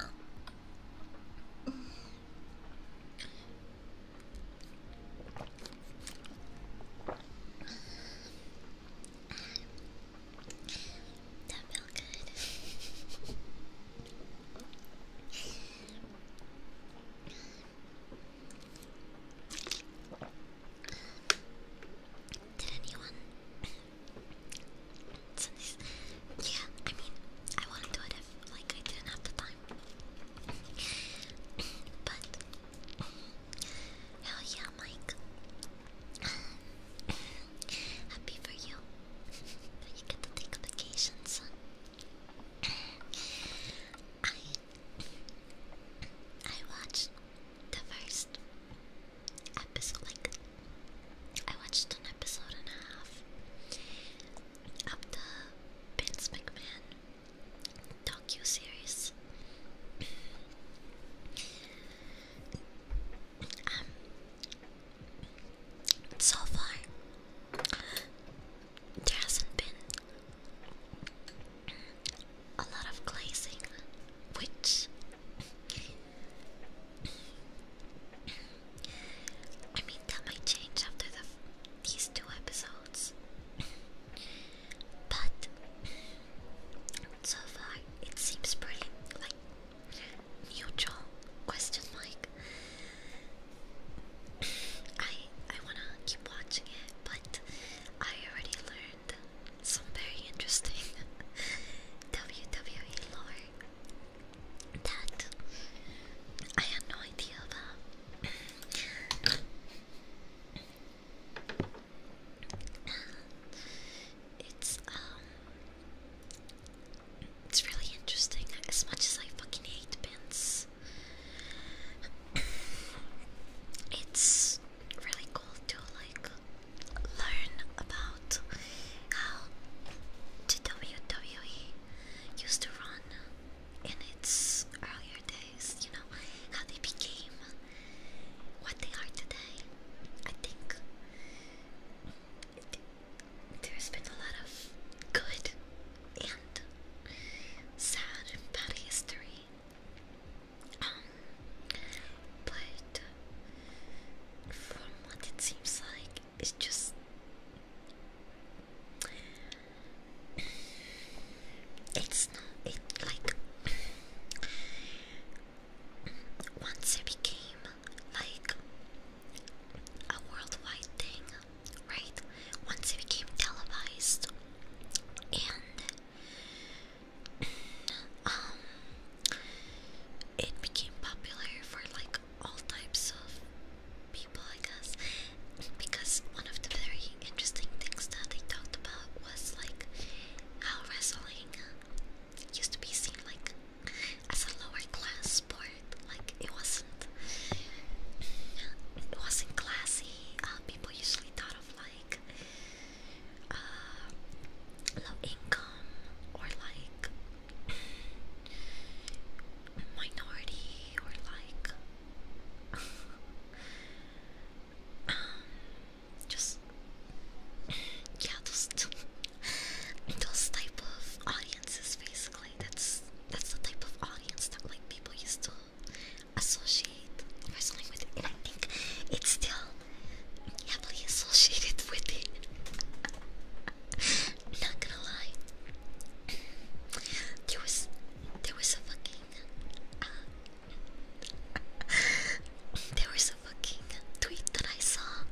Did anyone? *coughs* yeah, I mean, I wouldn't do it if, like, I didn't have the time. *coughs* but, hell yeah, Mike. *coughs* Happy for you. *laughs* you get to take a vacation, son. I I watched the first episode like I watched an episode and a half of the Vince McMahon docu series. um so far there hasn't been a lot of glazing, which I mean that might change after the these two episodes, but so far it seems pretty like neutral question mark. I I wanna keep watching it, but I already learned some very interesting *laughs* WWE lore that I had no idea about. It's um it's really interesting as much as I fucking hate pins it's really cool to like learn about how the WWE used to run in its earlier days, you know, how they became what they are today. I think there's been a lot of good and sad and bad history. Um, but from what it seems like, it's just it's not it like once it became like a worldwide thing right? Once it became televised, and *clears throat* um, it became popular for like all types of people, I guess, because one of the very interesting things that they talked about was like how wrestling used to be seen like as a lower class sport, like it was it wasn't classy. Uh, people usually thought of like uh, low income or like minority or like *laughs* um, just yeah those those type of audiences basically that's that's the type of audience that like people used to associate with it, and I think it's still heavily associated *laughs* with it. Not gonna lie, there was there was a fucking uh, *laughs* there was a fucking tweet that I saw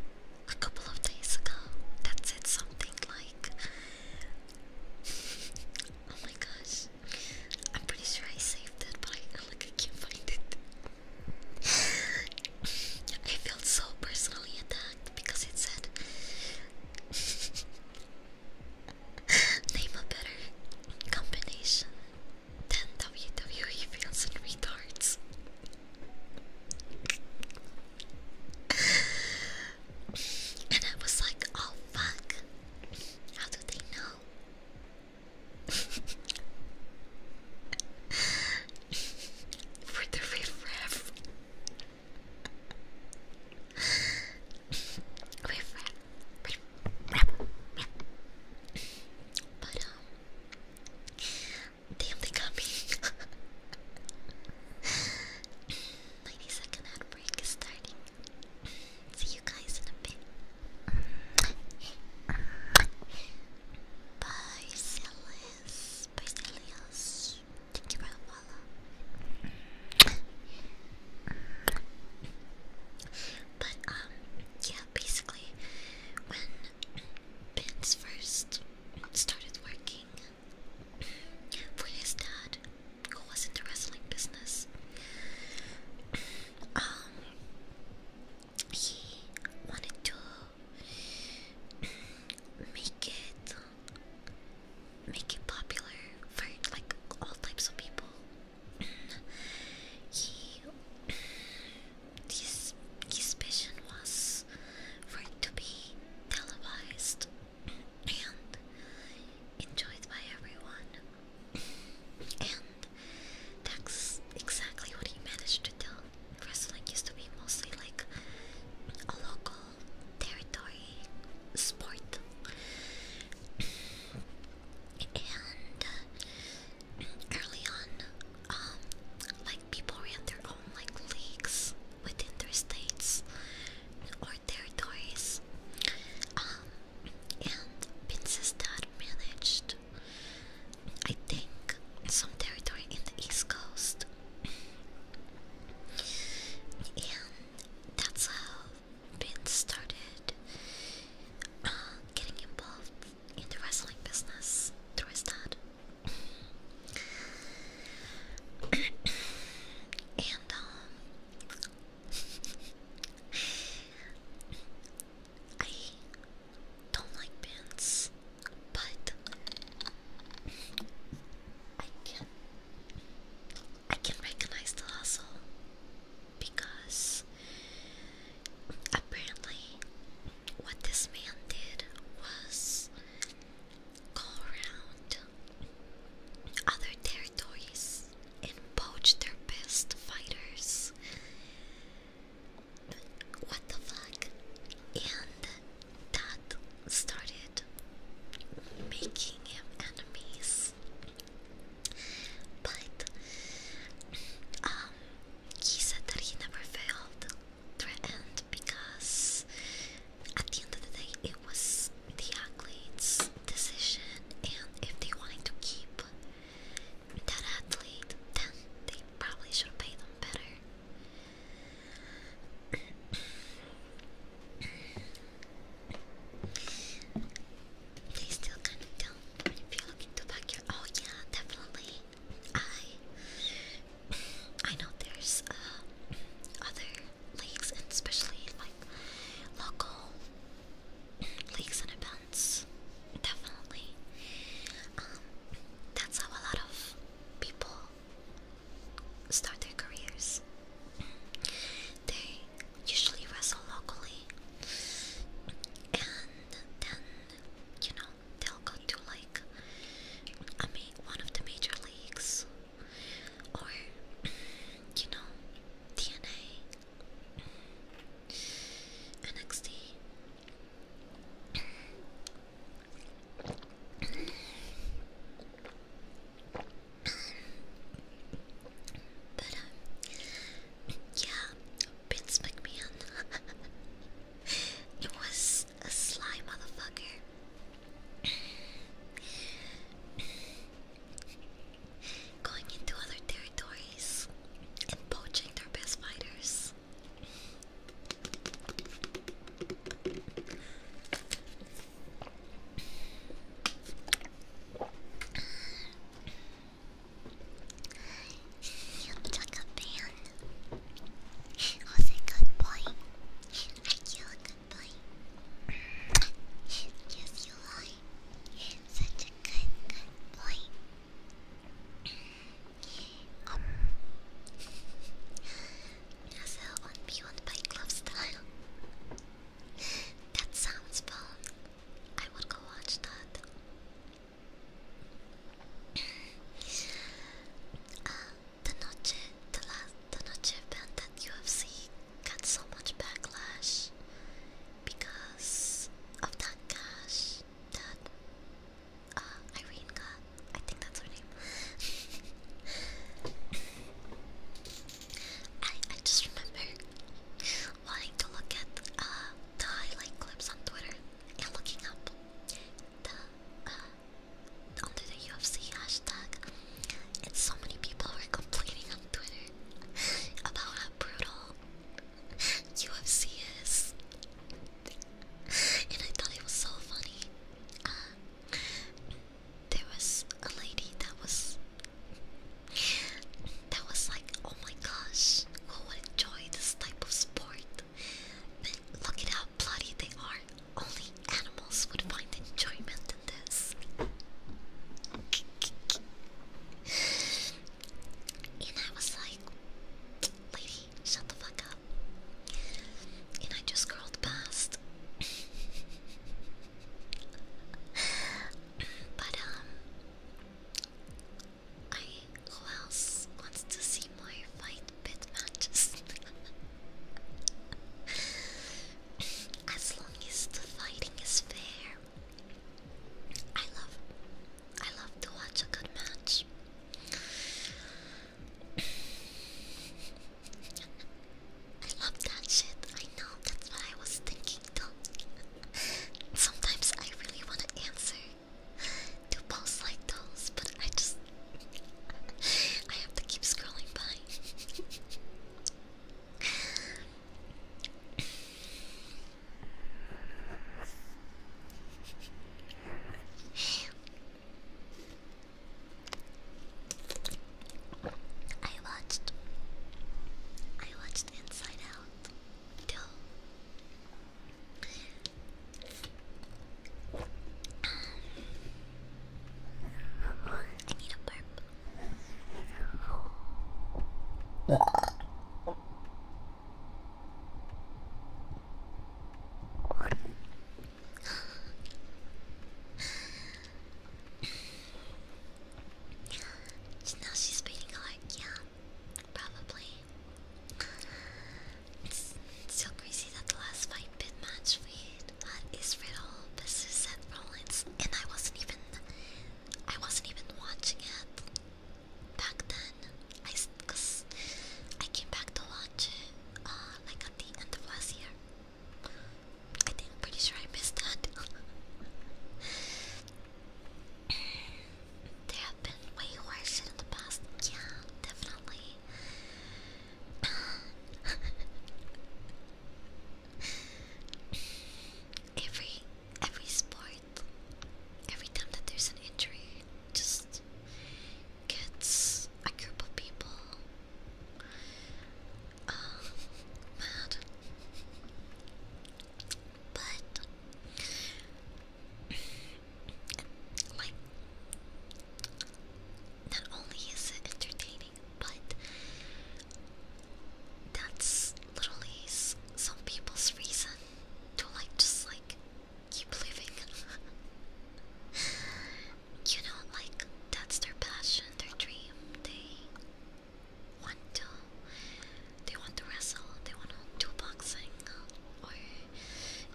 a couple of days ago that said something like, *laughs* "Oh my gosh, I'm pretty sure I saved it, but I like I can't find it. I felt so personally attacked because it said Name a better combination than WWE fans and retards. and I was like, oh fuck, how do they know? For the riffraff. riffraff. Riffraff. But, um. Damn, they got me. 90 *laughs* second ad break is starting. See you guys in a bit. Barcelius, Barcelius, thank you for the follow. But um, yeah, basically, when Vince first started working for his dad, was in the wrestling business. um, he wanted to make it make it popular for like all types of people. he his his vision was for it to be televised and enjoyed by everyone. and that's exactly what he managed to do. Wrestling used to be mostly like a local territory sport. and uh, early on, um, like people ran their own like leagues within their states or territories. Um, and dad managed, I think, some territory in the east coast, and that's how Pin started uh, getting involved in the wrestling business through his dad. *clears throat* and um, I don't like pants, but I can I can recognize the hustle because apparently what this man did was go around other territories and poach their best fighters. What the fuck? And that started making him enemies. But um he said that he never felt threatened because at the end of the day it was the athlete's decision, and if they wanted to keep that athlete, then they probably should pay them better. they still kind of don't. If you're looking back your, oh yeah, definitely. I I know there's uh, other leagues and especially like local leagues and events. Definitely. Um, that's how a lot of people start their careers. They usually wrestle locally and then, you know, they'll go to like I mean, one of the major leagues or you know, DNA, NXT. But um, yeah, Vince McMahon. *laughs* it was a sly motherfucker going into other territories and poaching their best fighters. You took a ban. Was a good boy. Are you a good boy? Yes, you are. Such a good, good boy. um, Nuzzle on Beyond by Glove Style. that sounds fun. I would go watch that. uh, the Noche, the last, the Noche event that UFC got so much backlash because of that cash that uh, Irene I think that's her name. *laughs* I I just remember wanting to look at uh, the highlight clips on Twitter and looking up the uh, under the UFC hashtag, and so many people were complaining on Twitter about how brutal UFC is. And I thought it was so funny. Uh, there was a lady that was that was like, oh my gosh, who would enjoy this type of sport? But look at how bloody they are. Only animals would find enjoyment and I was like, lady, shut the fuck up. And I just crawled past. but, um, I. Who else wants to see more fight pit matches? *laughs* as long as the fighting is fair, I love I love to watch a good match. *laughs* I love that shit. I know that's what I was thinking though. Sometimes I really want to answer to posts like those, but I just *laughs* I have to keep scrolling by. *laughs* I watched I watched Inside Out I need a burp so now she's beating like yeah, probably. It's, so crazy that the last fight bit match we riddle. This is Seth Rollins, and I wasn't even I wasn't even watching it back then. I because I came back to watch it uh, like at the end of last year. I think pretty sure I missed that. *laughs* there have been way worse in the past. Yeah, definitely. *laughs* Every every sport, every time that there's an injury, just gets a group of people uh, mad. But like, not only is it entertaining, but that's literally some people's reason to like just like keep living. *laughs* you know, like that's their passion, their dream. They want to, they want to wrestle. They want to do boxing or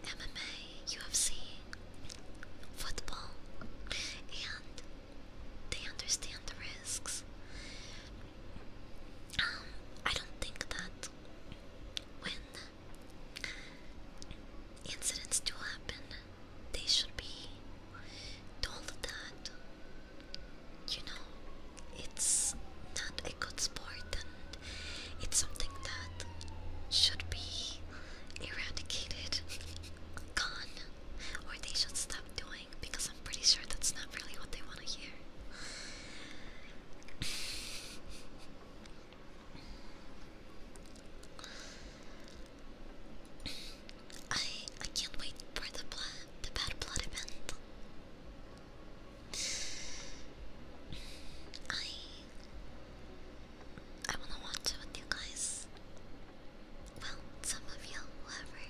MMA, UFC, football, and they understand the risks. Um, I don't think that when incidents do happen, they should be told that you know it's not a good sport and it's something that should be eradicated, *laughs* gone, or they should stop doing because I'm pretty sure that's not really what they want to hear. I I can't wait for the blood, the bad blood event. I I wanna watch it with you guys. Well, some of you, whoever.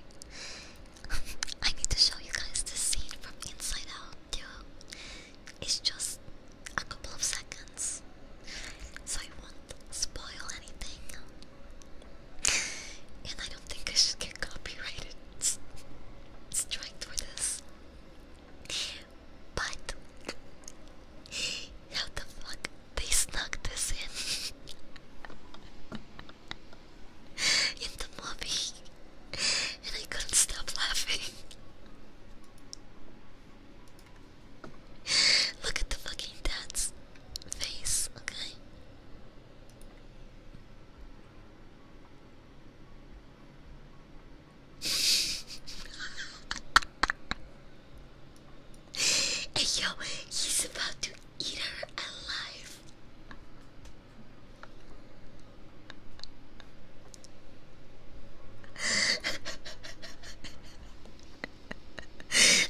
*laughs* I need to show you guys the scene from inside out, too. It's just a couple of seconds. So I won't spoil anything. And I don't think I should get copyrighted strike for this. But how the fuck they snuck this in? *laughs* in the movie, and I couldn't stop laughing. Look at the fucking dad's face, okay? *laughs* hey yo, he's about to eat her alive.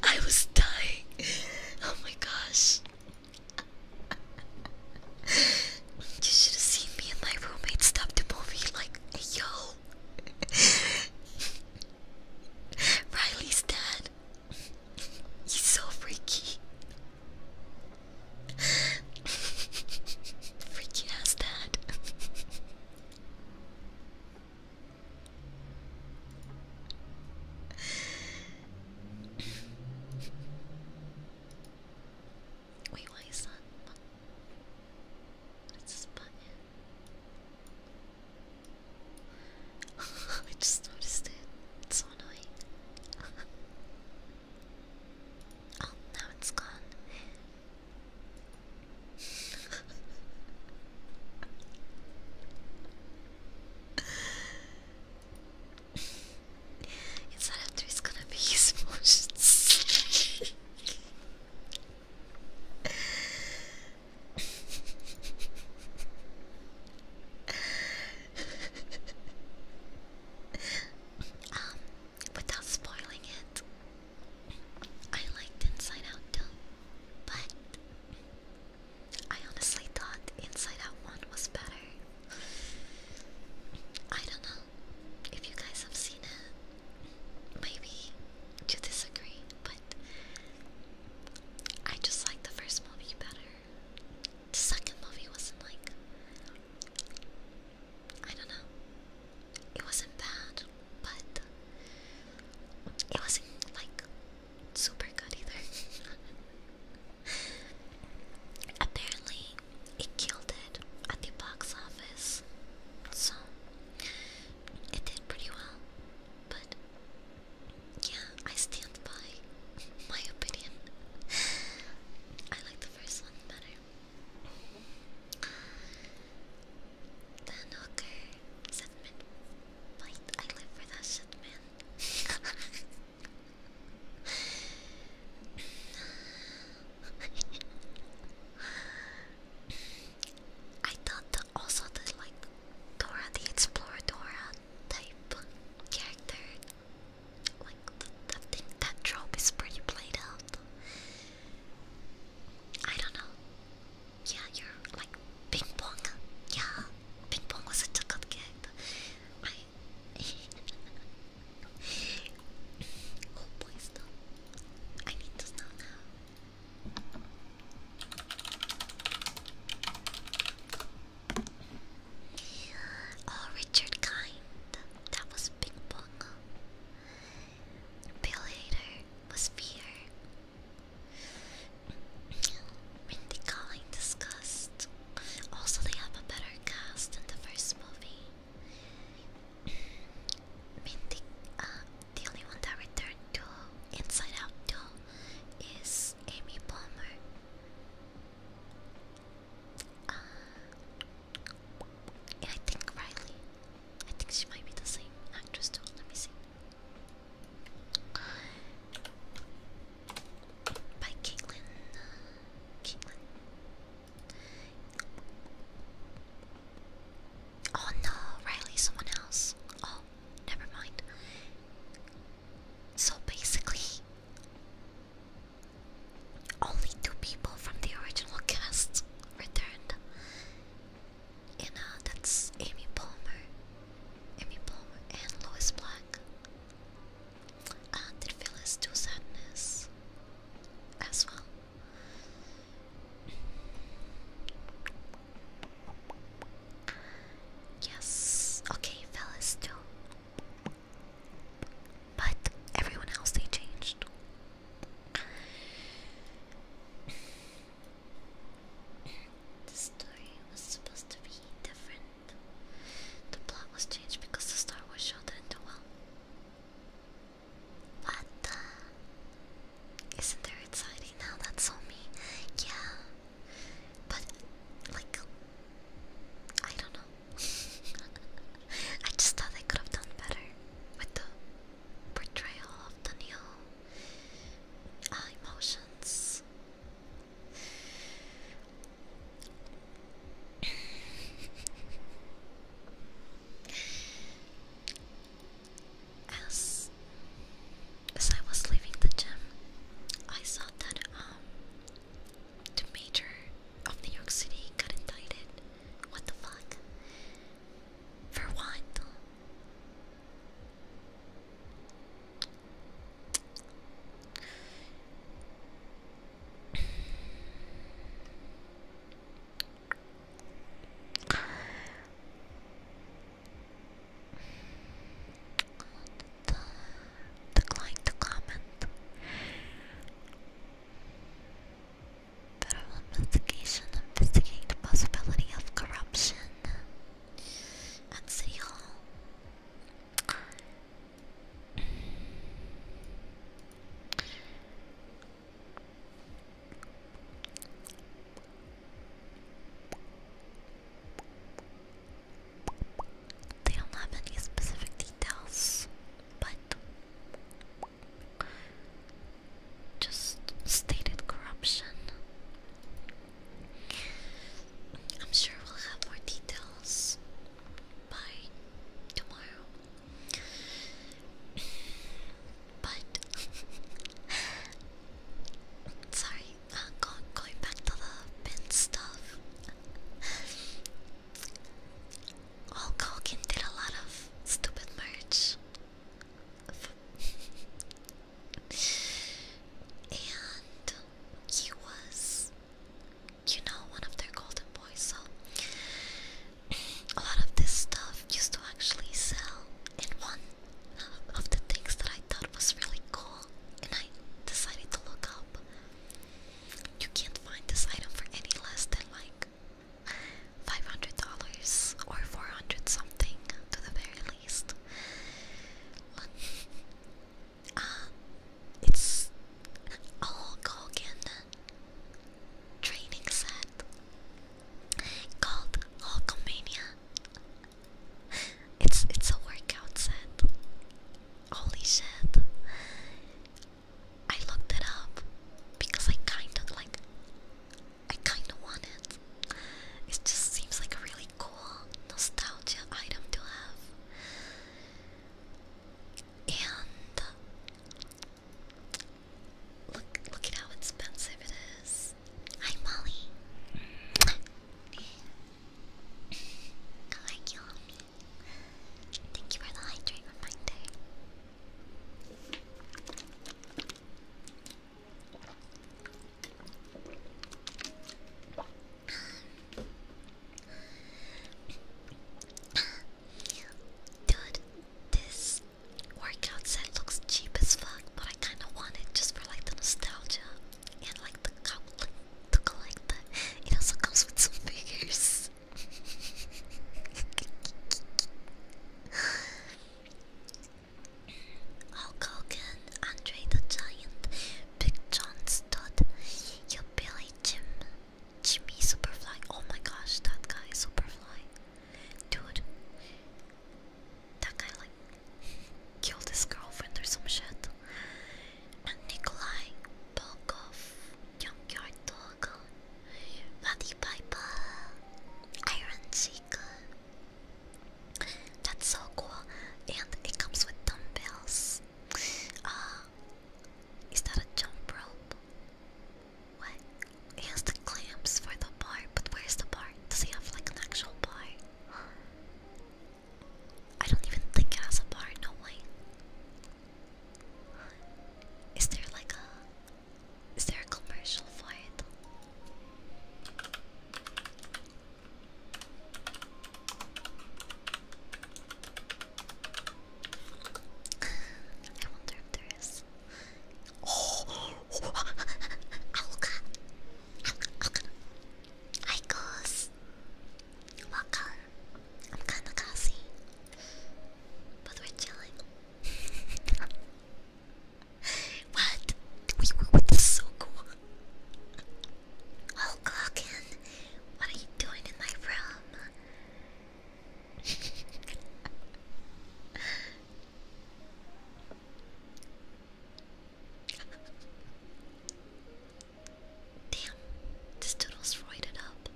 I was dying. Oh my gosh. You should have seen me and my roommate stop the movie like, yo. Riley's dead. He's so freaky. freaky as that. Wait, why is that? button? *laughs* I just noticed it. It's so annoying. *laughs* oh, now it's gone. it's *laughs* not after it's gonna be his emotions. *laughs* um, without spoiling it, I liked Inside Out too, but I honestly thought Inside Out 1 was better. I don't know if you guys have seen it. Maybe you disagree, but I just like the first movie better. The second movie wasn't like. I don't know. It wasn't bad, but it wasn't like super good either. *laughs* Apparently, it killed it at the box office, so it did pretty well, but yeah, I stand by my opinion. I like the first one better. Then hooker segment. Wait, I live for that shit, *laughs* I thought that also the like Dora the Explorer, Dora type character. Like that thing, that trope is pretty played out. I don't know. Yeah, you're like ping pong. Yeah, ping pong was a good *laughs* oh game. I. need to stop now. Oh, Richard Kind. That was Big Bong. Bill Hader was fear. Mindy Calling disgust. Also, they have a better cast than the first movie. Mindy, uh, the only one that returned to Inside Out 2 is Amy Palmer. Uh, I think Riley. I think she might be the same actress Let me see. By Caitlin. Caitlin. Oh no, Riley, someone else. Oh, never mind. So basically, only two people from the original cast returned. And that's Amy Palmer, Amy Palmer, and Lois Black. And it feels sadness as well. Yes, okay, fellas, do. But everyone else, they changed. the story was supposed to be different. The plot was changed because the Star was show didn't What the? Isn't there exciting now? That's so me. Yeah. But like I don't know. *laughs* I just thought I could have done better with the portrayal of the uh, emotions. *laughs* as as I was leaving the gym, I saw that um the major of New York City got indicted. What the fuck? For what? decline to comment. Federal investigation investigating the possibility of corruption at City Hall. They don't have any specific details, but just stated corruption. I'm sure we'll have more details by tomorrow. But *laughs* sorry, uh, go, going back to the pin stuff, Hulk did a lot of stupid merch. and he was, you know, one of their golden boys, so a lot of this stuff used to actually sell. And one of the things that I thought was really cool, and I decided to look up, you can't find this item for any less than like $500 or 400 something to the very least. *laughs* Uh, it's a Hulk Hogan training set called Hulkomania. It's it's a workout set. Holy shit. I looked it up because I kind of like. I kind of want it. It just seems like a really cool nostalgia item to have. And look, look at how expensive it is. Hi, Molly. I like you, Thank you for the hydration reminder. Um, dude, this workout set looks cheap as fuck, but I kinda want it just for like the nostalgia and like the cup to collect It also comes with some figures. *laughs* Hulk Hogan, Andre the Giant, Big John Stud, Yo Billy Jim, Jimmy Superfly. Oh my gosh, that guy Superfly, dude. That guy like killed his girlfriend or some shit and Nikolai Bokov, Junkyard Dog, Muddy Piper, Iron Seeker. That's so cool, and it comes with dumbbells. Uh, is that a jump rope? What? He has the clamps for the bar, but where's the bar? Does he have like an actual bar? I don't even think it has a bar, no way. Is there like a is there a commercial for it? I wonder if there is. Oh, *laughs* Alka, Alka, I what color? I'm kamikaze. But we're chilling. *laughs* what? We were so cool. Oh, Glocken, what are you doing in my room? *laughs* Damn, this doodle's roided up.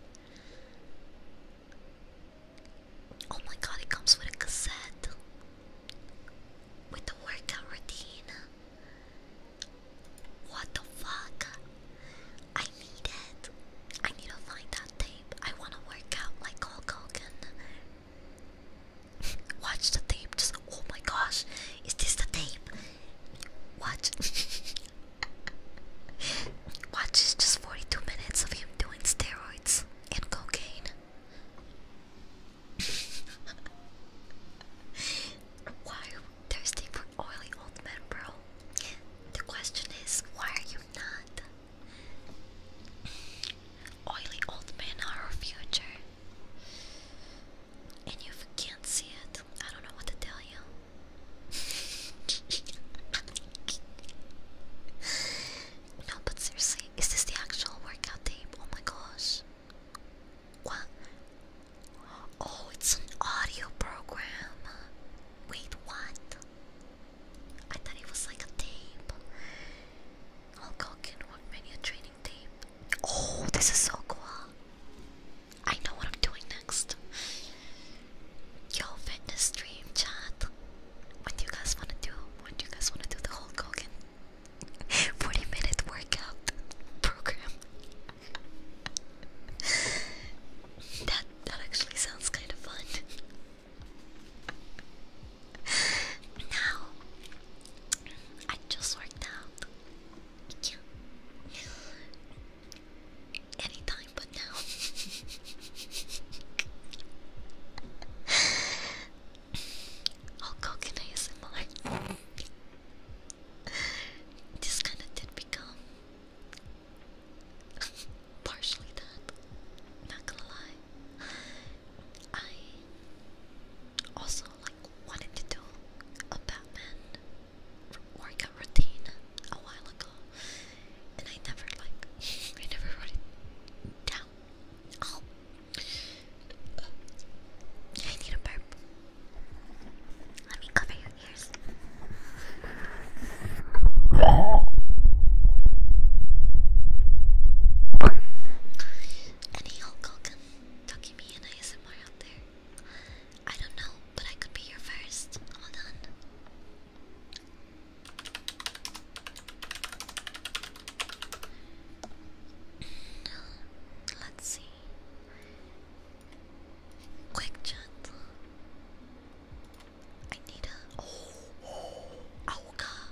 Oh my god, it comes with a cassette. With the workout routine. What the fuck? I need it. I need to find that tape. I wanna work out like Hulk Hogan. *laughs* Watch the tape Oh my gosh, is this the tape? What? *laughs* Watch is just 42 minutes of him doing steroids and cocaine. *laughs* why are you oily old men, bro? The question is, why are you not? Oily old men are our future and you can't see it, I don't know what to tell you. no, but seriously, is this the actual workout tape? Oh my gosh. What? Oh, it's an audio program. Wait, what? I thought it was like a tape. Hulk Hogan Work Menu Training Tape. Oh, this is so cool. I know what I'm doing next. Yo, fitness stream chat. What you guys wanna do? What you guys wanna do? The whole Hogan *laughs* 40 minute workout program. *laughs* that that actually sounds kind of fun. *laughs* now I just worked out. Yeah. Anytime but now. *laughs* i can cook in ASMR. this kinda did become *laughs* partially that. Not gonna lie. I also like wanted to do a Batman workout routine a while ago, and I never like *laughs* I never wrote it down. Oh. I need a burp. Let me cover your ears. Any Hulk Hogan, Tucky me and ASMR out there. I don't know, but I could be here first. Hold on. Let's see. Quick chat. I need a. oh, Auga.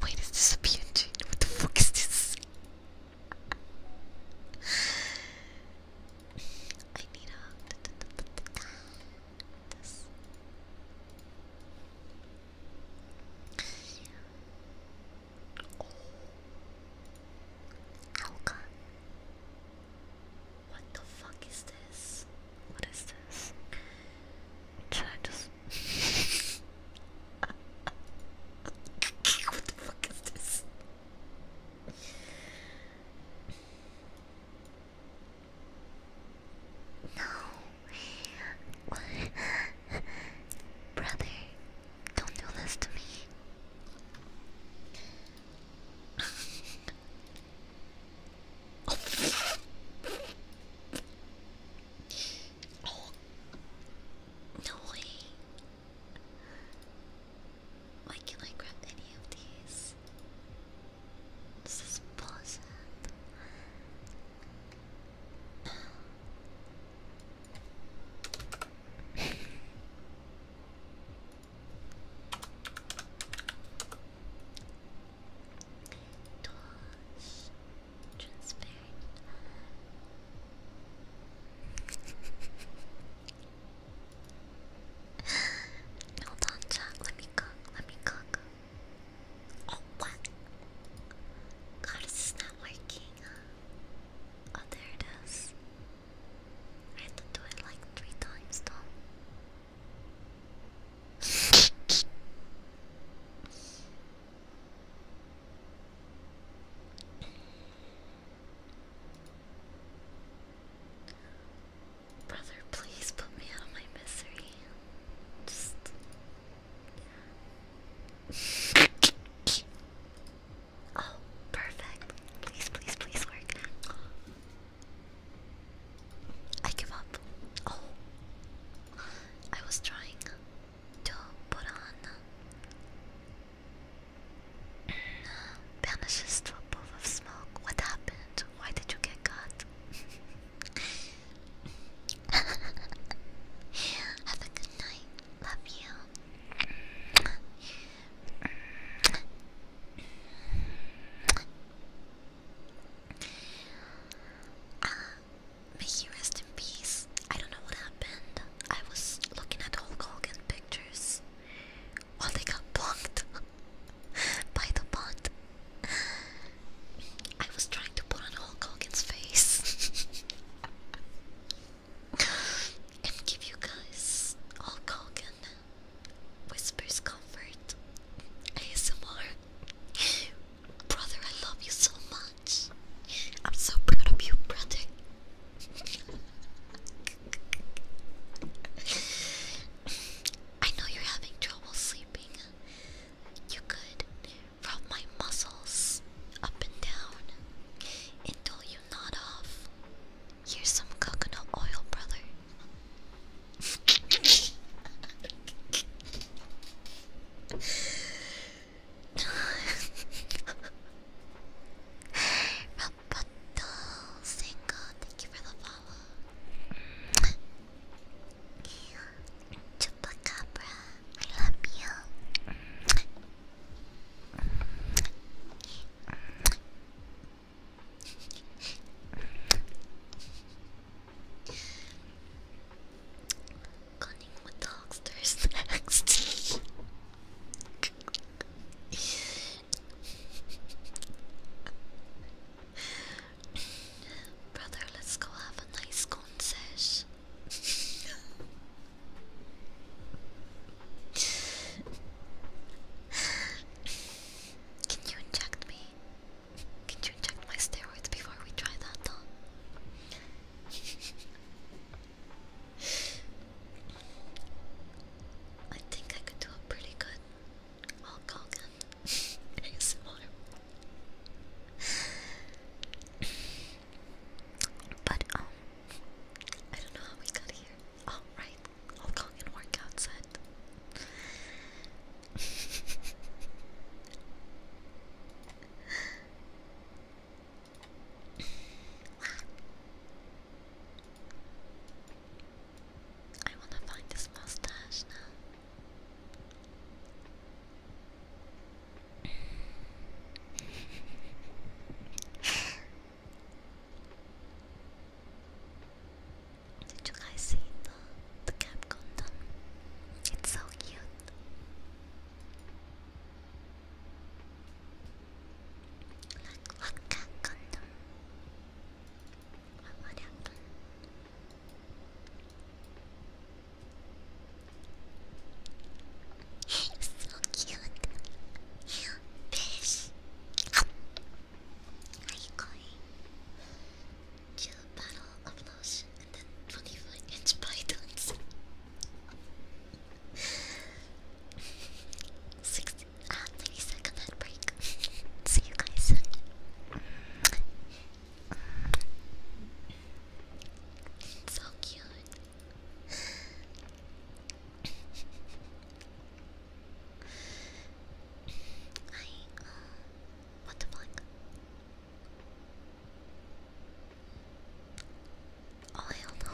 *laughs* Wait, is this a PNG? What the fuck is this? I need a What the fuck is this? What is this? Should I just *laughs* what the fuck is this? No. Brother, don't do this to me. oh. *laughs* No way. Why can't I grab any of these? This is bullshit. *laughs* Transparent *laughs* Hold on, Jack. Let me cook. Let me cook. Oh, what? God, is not working? Oh, there it is. I had to do it like three times, though. *laughs* Brother, please put me out of my misery. Just. *laughs* oh, perfect. Please, please, please work. I give up. Oh. I was trying to put on. Vanishes to a puff of smoke. What happened? Why did you get caught? *laughs* Have a good night. Love you. *clears throat* Uh, may you rest peace. I don't know what happened. I was looking at Hulk Hogan pictures. while they got bonked *laughs* by the bond. *sighs* I was trying to put on Hulk Hogan's face *laughs* and give you guys Hulk Hogan whispers comfort ASMR. *sighs* Brother, I love you so much. I'm so proud of you, brother. I know you're having trouble sleeping. You could rub my muscles up and down until you nod off. Here's some coconut oil, brother. *laughs* Rapato Senko, thank you for the follow. Chupacabra, I love you. Cunning with the hucksters *laughs* next. Brother, let's go have a nice concert. Can you inject me? Can you inject my steroids before we try that, though? I think I could do a pretty good Hulk Hogan ASMR. *laughs* but um, I don't know how we got here. Oh right, workout set. *laughs* I want to find this mustache now. *laughs* Did you guys see the, the cap condom? It's so cute. Like so cute. Fish. Are you going to bottle of lotion and then 25 inch pythons? 60, uh, head break. See you guys soon. So cute. I, uh, what the fuck? Oh hell no.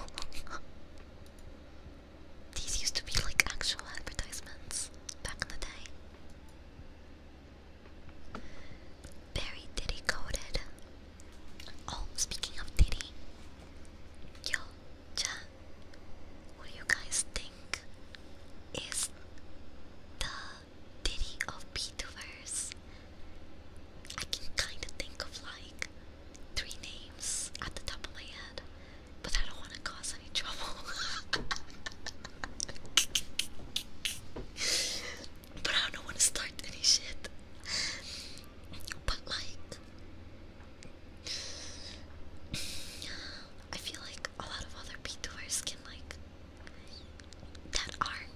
*laughs* These used to be like actual advertisements back in the day. Very Diddy coded. Oh, speaking of Diddy. Yo, Cha. What do you guys think is the Diddy of Beethoverse? I can kinda think of like three names at the top of my head, but I don't want to cause any trouble. *laughs* but I don't want to start any shit. But like, I feel like a lot of other VTubers can like that are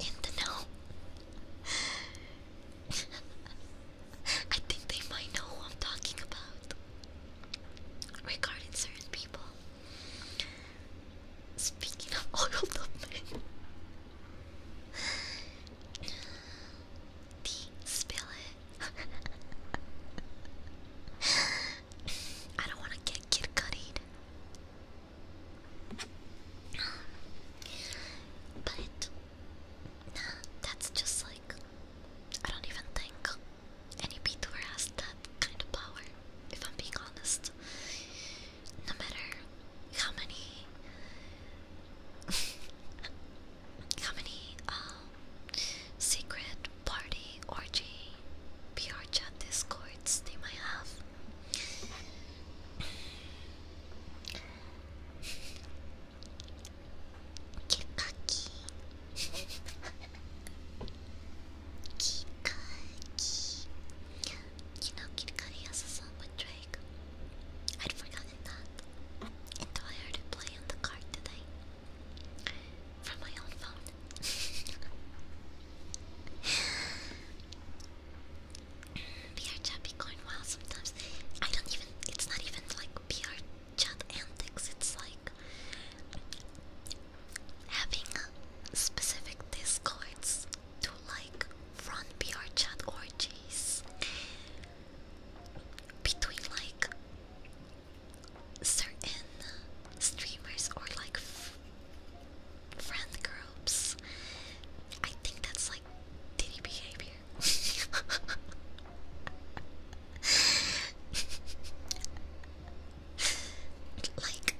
in the *laughs* I think they might know who I'm talking about regarding certain people. Speaking of oil, up spill I don't want to get kid cutted. But that's just like I don't even think any VTuber has that kind of power, if I'm being honest. No matter how many *laughs* how many um secret party orgy PR chat discords they might have. Kikaki. Kikaki. You know Kikaki has a song with Drake. I'd forgotten that. Until I heard it play on the card today. From my own phone. *laughs* PR chat be wild sometimes. I don't even, it's not even like PR chat antics, it's like having specific discords to like run PR chat orgies between like certain streamers or like friend groups. I think that's like. Diddy behavior. like,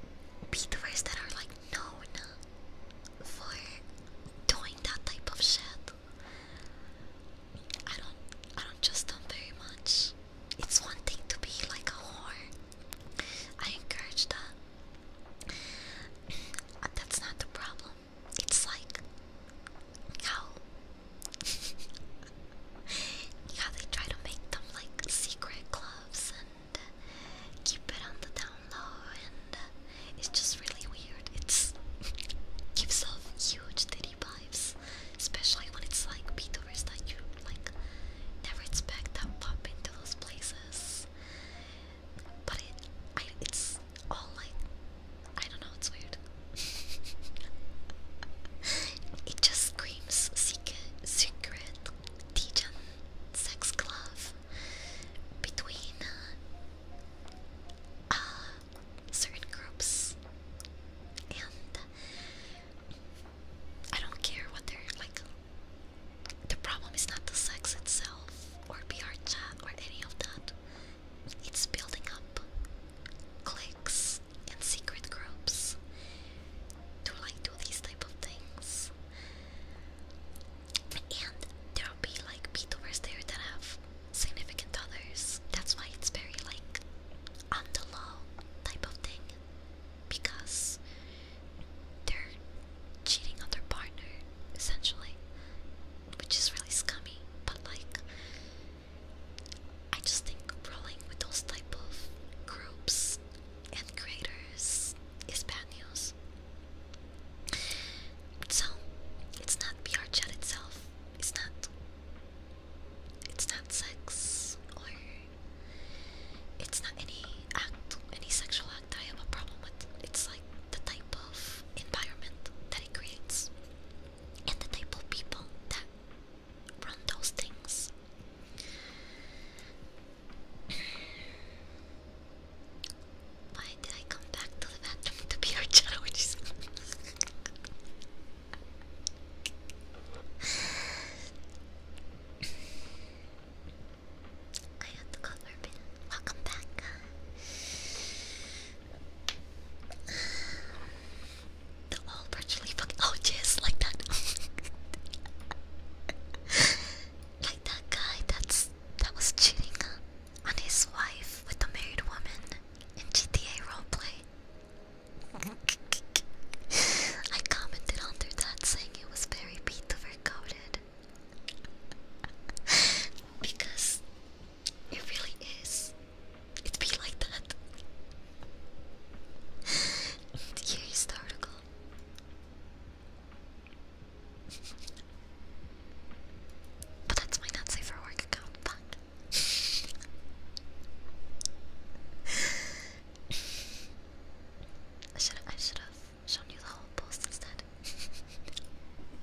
beaters *laughs* that are like known for doing that type of shit. I don't, I don't trust them very much. It's one thing to be like a whore. I encourage that. *clears throat* That's not the problem. It's like how how *laughs* they try to make them like secret clubs and keep it on the down low, and it's just really weird. It's *laughs* gives off huge titty vibes, especially when it's like VTubers that you like never expect to bump into those places. But it, it's all like, I don't know, it's weird. *laughs* it just screams secret, secret, Dijon sex club between uh, certain groups. And I don't care what they're like. The problem is not the sex itself, or PR chat, or any of that. It's building up cliques and secret groups to like do these type of things. And there'll be like VTubers there that have significant others. That's why it's very like on type of thing. Because they're cheating on their partner, essentially which is really scummy, but like, I just think rolling with those type of groups and creators is bad So, it's not PR chat itself, it's not. It's not sex, or it's not any act, any sexual act I have a problem with. It's like the type of environment that he creates and the type of people that run those things. *sighs* Why did I come back to the bathroom to be our judge? *sighs* I had to call Urban. Welcome back. They're *sighs* all virtually fucking. Oh, just like that. *laughs* like that guy that's that was cheating on his wife with a married woman in GTA roleplay. *laughs* I commented under that saying it was very Beethoven *laughs* because it really is. It'd be like that. Here's the article. but that's my not safe for work account. Fuck. *laughs* I should I should have shown you the whole post instead. *laughs*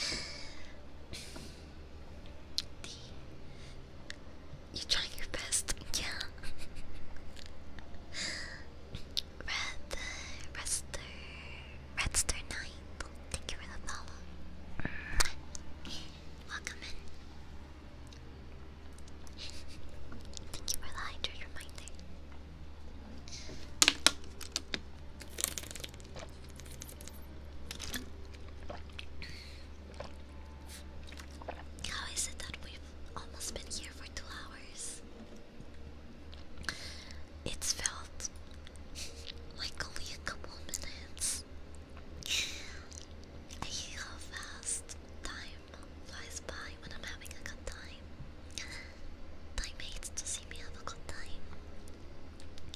D. *sighs* You trying your best, yeah. *laughs* Red, uh, Redster, Redster Nine. Thank you for the follow. Mm. Welcome in. *laughs* Thank you for the reminder. How is it that we've almost been here for two hours? It's felt like only a couple minutes. I hate how fast time flies by when I'm having a good time teammates to see me have a good time.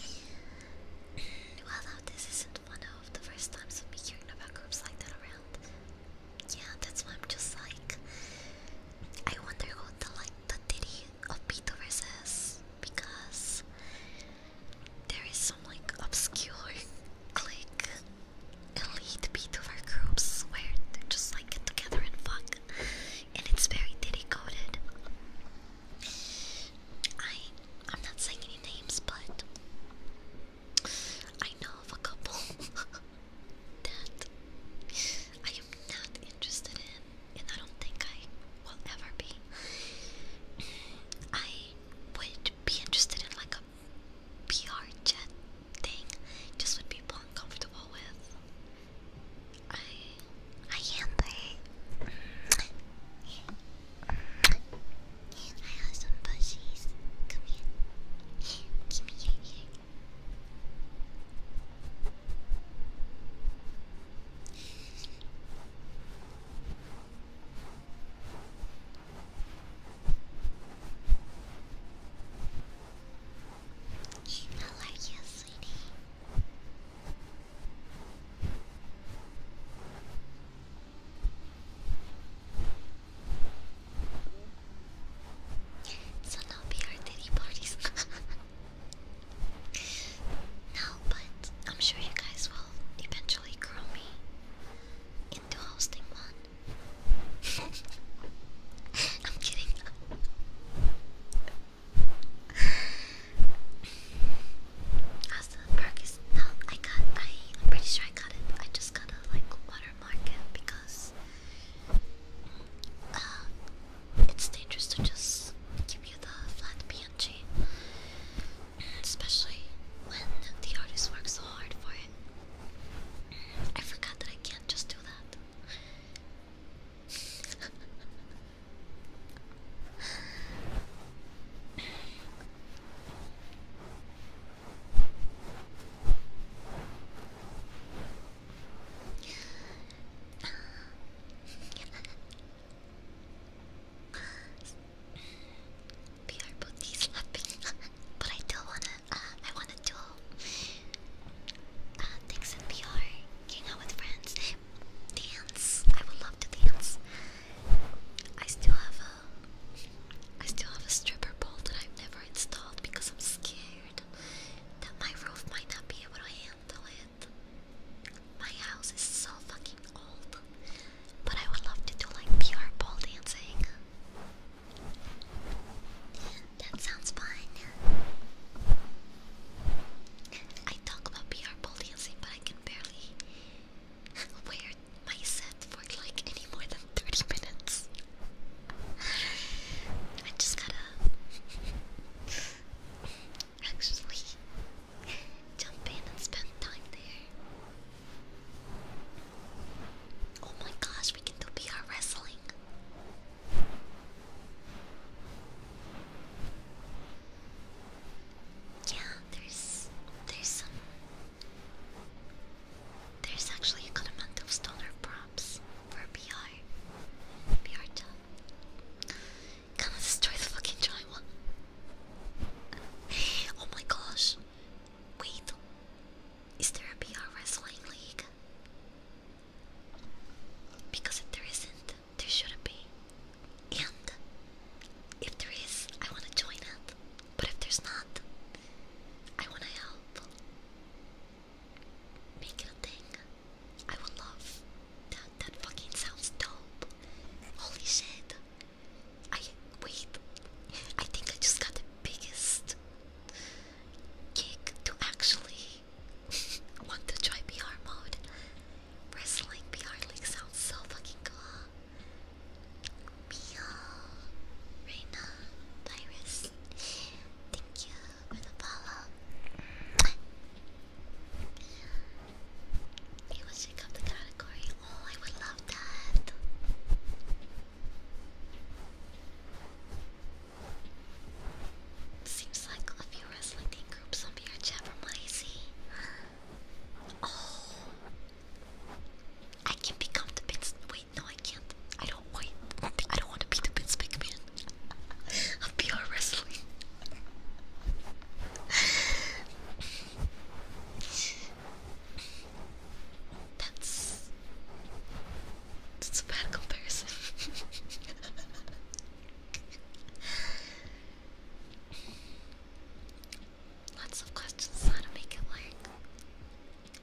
*sighs* well, now this isn't one of the first times of me hearing about groups like that around. Yeah, that's why I'm just like, I wonder who the like the ditty of Beethoven's is because there is some like obscure beat of our groups where they are just like together and fuck and it's very diddy coded. I I'm not saying any names, but I know of a couple *laughs* that I am not interested in, and I don't think I will ever be. I would be interested in like a PR chat thing, just with people I'm comfortable with. I I am there. I have some bushies. Come here. Give me your ear. How are you, sweetie? So now we are titty parties. *laughs* no, but I'm sure you guys will eventually grow me into hosting one. *laughs* I'm kidding. Asta Park is no, I got I I'm pretty sure I got it. I just gotta like watermark it because uh it's dangerous to just give you the flat PNG. Especially when the artist works so hard for it. I forgot that I can't just do that. PR both knee *laughs* but I do wanna. Uh, I wanna do. Uh, thanks in hang out with friends, dance. I would love to dance. I still have a, I still have a stripper pole that I've never installed because I'm scared that my roof might not be able to handle it. My house is so fucking old, but I would love to do like PR pole dancing. That sounds fun. I talk about PR policy, but I can barely wear my set for like any more than 30 minutes. I just gotta actually jump in and spend time there. Oh my gosh, we can do PR wrestling. Yeah, there's there's some there's actually a good amount of stoner props for PR. PR job. Gonna destroy the fucking drywall. Oh my gosh. Wait. Is there a PR wrestling league? Because if there isn't, there shouldn't be. And if there is, I want to join it. But if there's not, I want to help. Make it a thing. I would love that. That fucking sounds dope. Holy shit. I wait. I think I just got the biggest kick to actually *laughs* Want to try PR mode? Wrestling PR League sounds so fucking cool. Mio, Reina, Virus, thank you for the follow. You will check out the category. Oh, I would love that. Seems like a few wrestling groups on your chat from Icy. Oh, I can become the pins. Wait, no, I can't. I don't. Wait, I don't want to be the pins big man of pure that's a bad comparison. *laughs* Lots of questions how to make it work.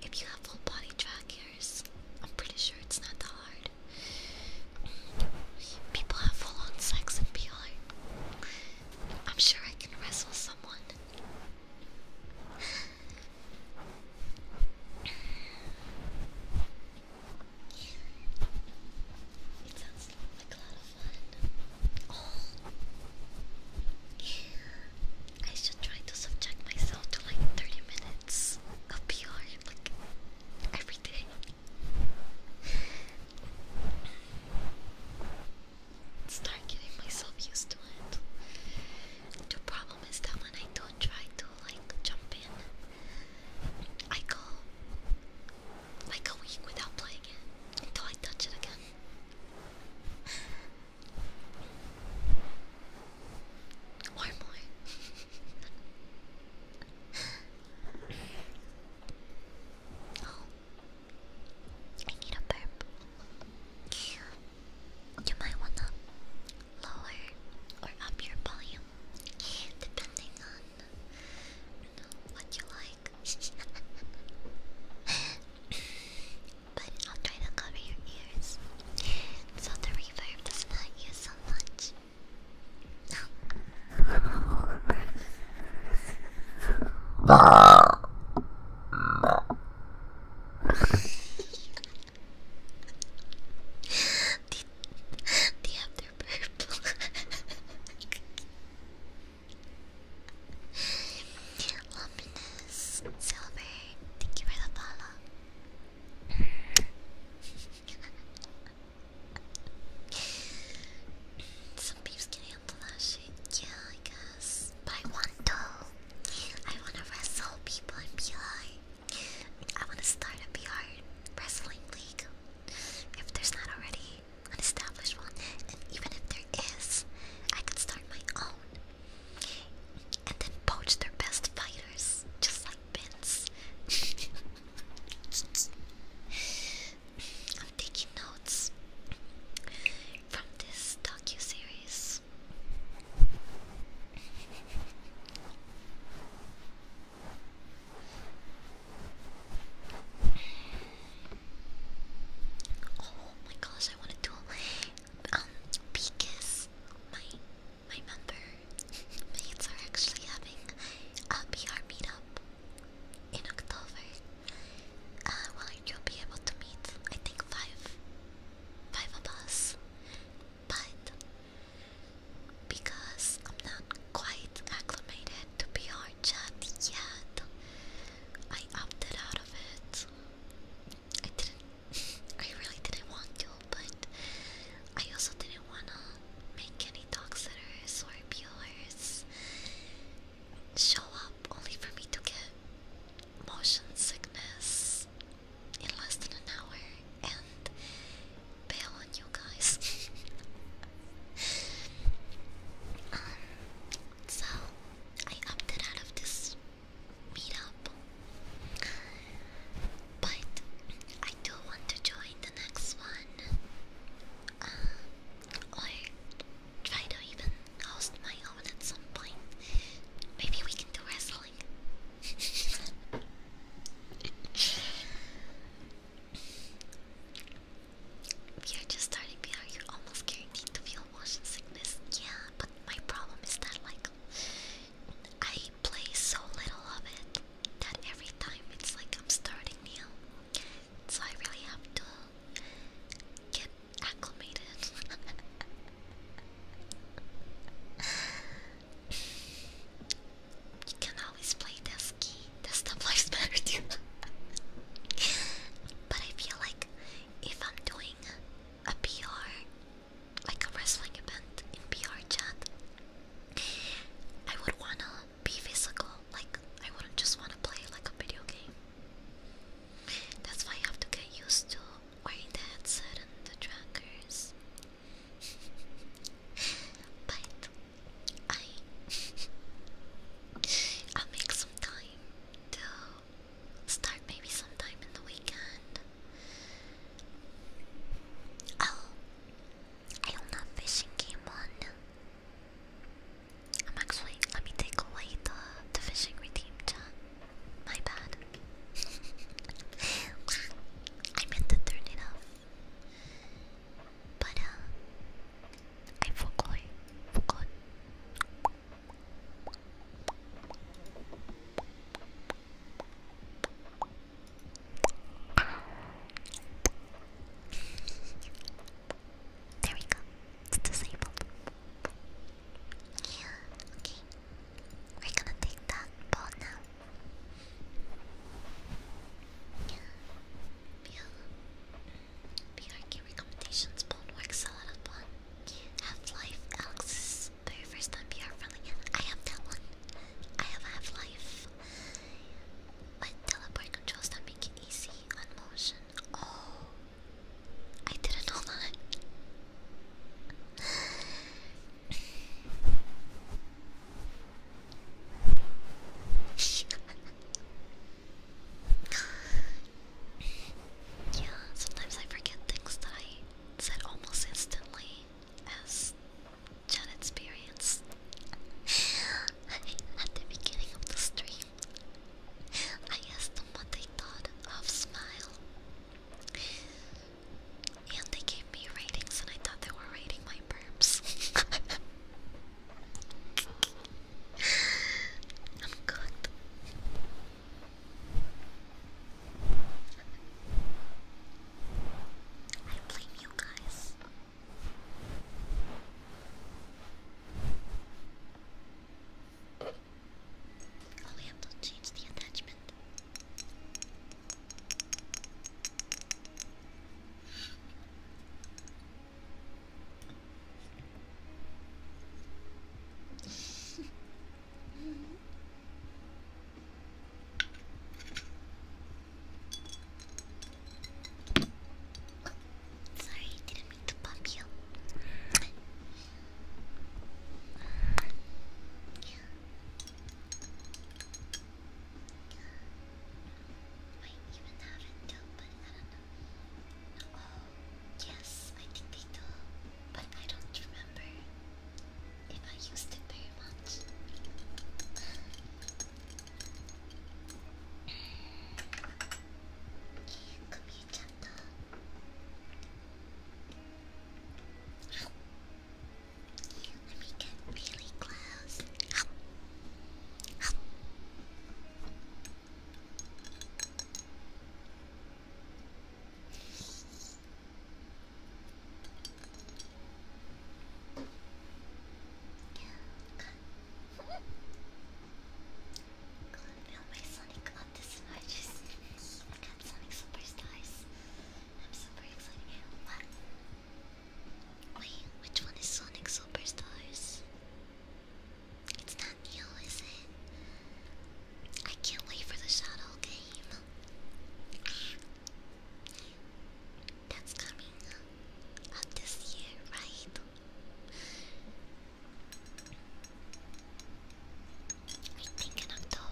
If you have full body trackers, I'm pretty sure it's not that hard. People have full on sex and PR. I'm sure I can wrestle someone. It sounds like a lot of fun. Oh. I should try to subject myself to like 30 minutes of PR like every day. Start getting myself used to it. The problem is that when I don't try to like jump in, I go like a week without playing it until I touch it again. or *sighs* more. *laughs* oh. I need a burp. You might wanna lower or up your volume depending on what you like. *laughs* but I'll try to cover your ears so the reverb does not use so much. do, *laughs* do you have super Luminous Silver, thank you for the follow. Some peeps can that shit. Yeah, I guess. But I want to. I want to wrestle people and be like, I want to start a PR wrestling league. If there's not already an established one, and even if there is, I could start my own. And then poach their best fighters, just like Vince. *laughs* I'm taking notes from this docu series. Oh my gosh, I want to do um because my my member mates *laughs* are actually having a PR meetup in October. Uh, well, you'll be able to meet I think five, five of us, but because I'm not quite acclimated to VR chat yet. I opted out of it. I didn't. *laughs* I really didn't want to, but I also didn't wanna make any dog sitters or viewers show up only for me to get motion sickness in less than an hour and bail on you guys. *laughs* um, so I opted out of this meetup, but I do want to join the next one, uh, or try to even host my own at some point. Maybe we can do wrestling. *laughs* We are just starting PR, are almost guaranteed to feel motion sickness. Yeah, but my problem is that, like, I play so little of it that every time it's like I'm starting new. So I really have to get acclimated. *laughs* You can always play Dusky. Desktop lives better too. *laughs* but I feel like if I'm doing a PR, like a wrestling event in PR I would wanna be physical. Like I wouldn't just wanna play like a video game. That's why I have to get used to wearing the headset and the trackers but I I'll make some time start maybe sometime in the weekend. Oh, I don't have fishing game on. I'm actually let me take away the the fishing redeem chat. My bad. *laughs* I meant to turn it off. But uh, I forgot. Forgot. there we go. It's disabled. Yeah, okay. We're gonna take that ball BRK recommendations, Boneworks, Saladabon, Half-Life, Alex's very first time BR friendly. I have that one. I have Half-Life. But teleport controls that make easy on motion. Oh, I didn't know that yeah, sometimes I forget things that I said almost instantly as Jen experienced *laughs* at the beginning of the stream. I asked them what they thought of Smile. And they gave me ratings, and I thought they were rating my burps. I'm cooked. I blame you guys. Oh, we have to change the attachment. Sorry, didn't mean to bump you. Yeah might even have it but I don't know. Oh, yes, I think they do, but I don't remember if I used it very much. Come here, Chanta. Here, let me get really close. Help. Help. Yeah, Can't my Sonic on this much. I got Sonic Superstars. I'm super excited. Wait, which one is Sonic Superstars? It's not Neo, is it? I can't wait for the Shadow game. That's coming up this year, right? I think in October.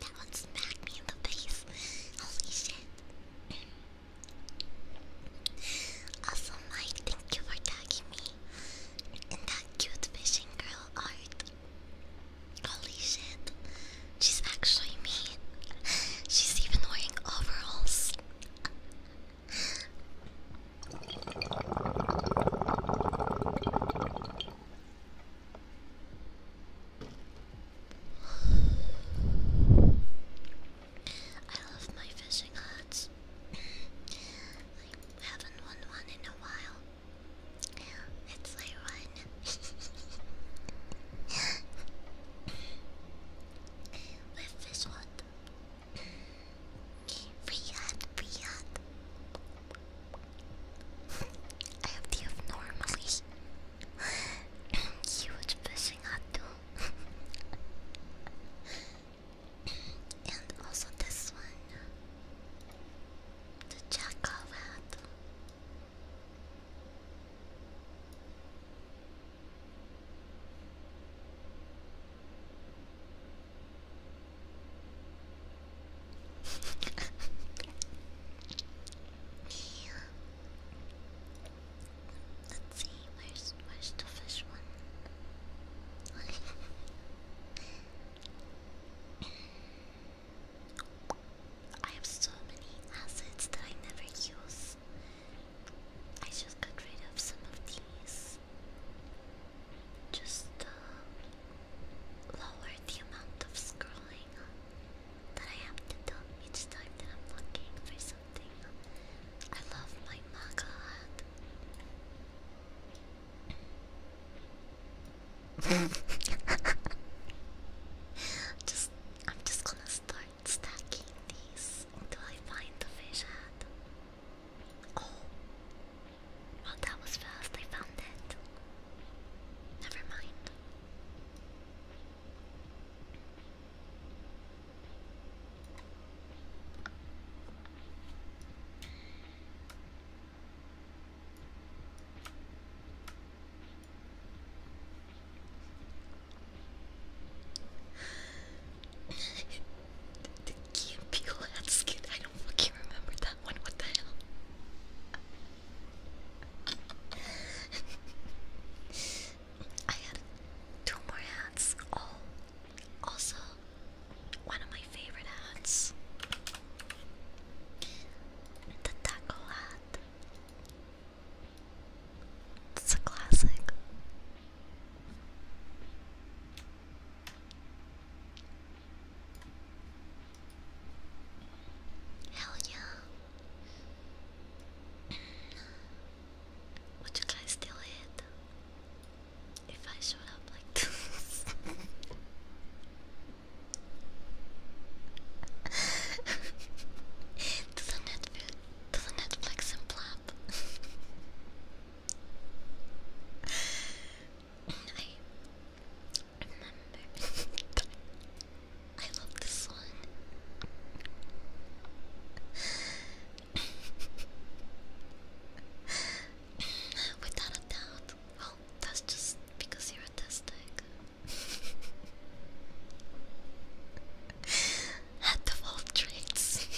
That one smacked me in the face. Holy shit. Mm. Also, Mike, thank you for tagging me in that cute fishing girl art. Holy shit. She's actually me. She's even wearing overalls. I love my fishing hats. haven't won one in a while. It's like one. With fish what? Free hut, I have the abnormally huge fishing hot too. and also this one, the jackal hat. Let's see, where's where's the fish one? I have so many assets that I never use. I just got rid of some of these. Just lower the amount of scrolling that I have to do each time that I'm looking for something. I love my mug hat. *laughs* just, I'm just gonna start stacking these until I find the fish hat. Oh, well that was fast. I found it. Never mind the cute people I don't fucking remember that one. What the hell? *laughs* I had two more hats. Oh, also, one of my favorite hats the taco hat. It's a classic. Hell yeah. Would you guys still hit if I showed up like *laughs* to the Netflix, to the Netflix and plop. *laughs* I I love this one. Without a doubt. Well, that's just because you're autistic. Had the all traits.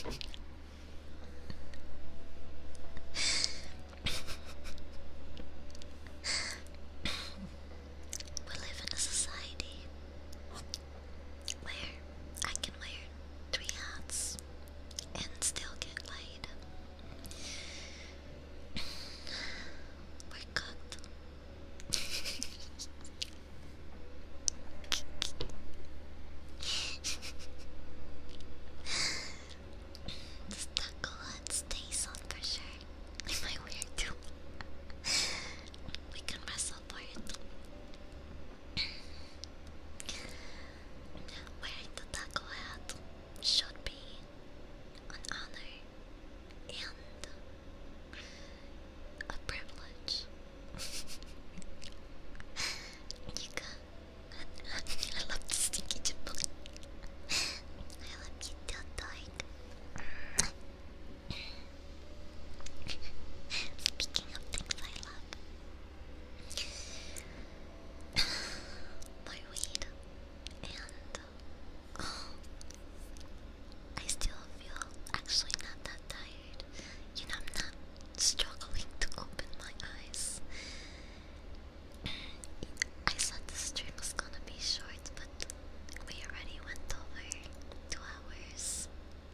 We live in a society where I can wear three hats and still get laid. *sighs* We're cooked. this taco hut on for sure. I weird we can wrestle for it. Wearing the taco hat should be an honor and a privilege. Nika, I love the stinky chipmunk. I love you till Speaking of things I love, my weed, and oh, I still feel actually not that tired. You know, I'm not struggling to open my eyes. I thought the stream was gonna be short, but we already went over two hours.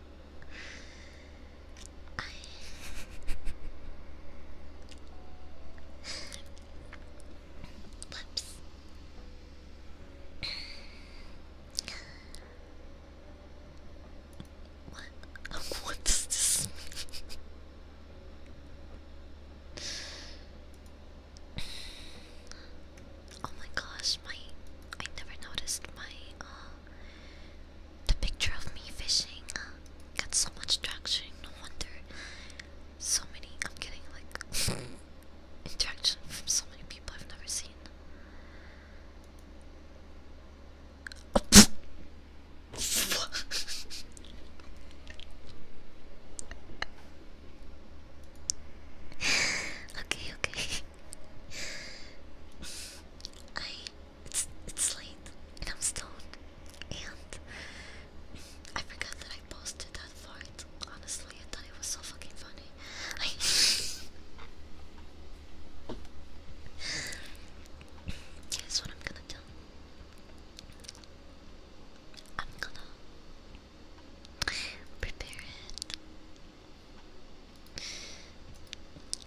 *laughs* Whoops. What? *laughs* what does this mean? Oh my gosh, my I never noticed my uh the picture of me fishing uh, got so much traction. No wonder so many. I'm getting like *laughs* interaction from so many people I've never seen. *laughs* *sighs* okay, okay. *laughs* I it's it's late and I'm stoned and I forgot that I posted that fart. Honestly, I thought it was so fucking funny. I *laughs* Here's what I'm gonna do. I'm gonna prepare it.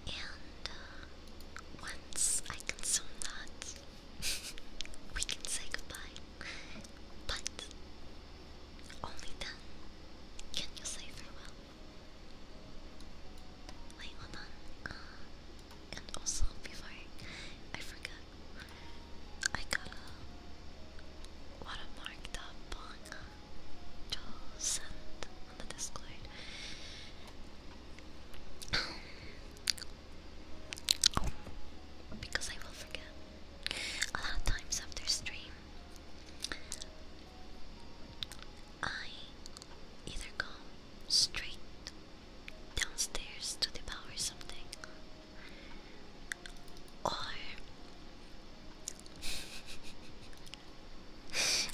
And uh, once I consume that, *laughs* we can say goodbye. But only then can you say farewell. Wait, on. Uh, and also, before I forget, I got a watermarked up on Joel sent on the Discord. because I will forget. A lot of times after stream, I either go straight downstairs to devour something, or *laughs*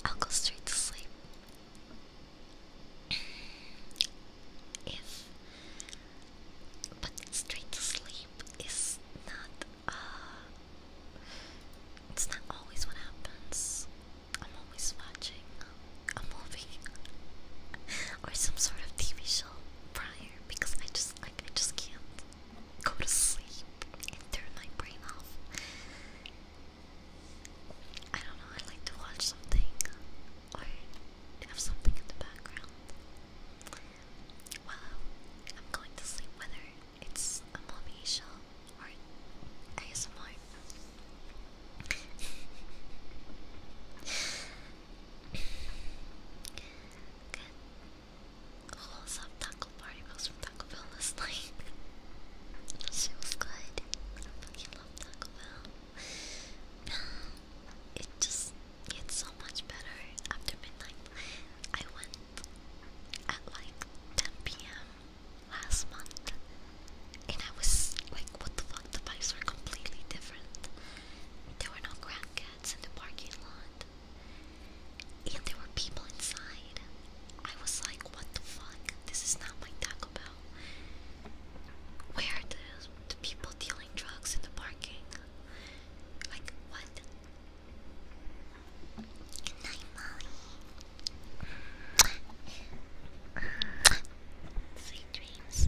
I'll go straight to sleep. *clears throat* if but straight to sleep is not uh it's not always what happens. I'm always watching a movie *laughs* or some sort of TV prior because I just like I just can't go to sleep and turn my brain off. I don't know, I like to watch something or have something in the background. Well, I'm going to sleep whether it's a movie show or ASMR. *laughs* Good. Wholesome taco party was from Taco Bell last night. she was good. I fucking love Taco Bell. *sighs* it just gets so much better after midnight. I went at like 10 p.m. last month and I was like, what the fuck? The vibes were completely different. There were no crack in the parking lot. And there were people inside. I was like, what the fuck? This is not my Taco Bell. Where are the, the people dealing drugs in the parking? Like, what? Good night, Molly. Sweet dreams.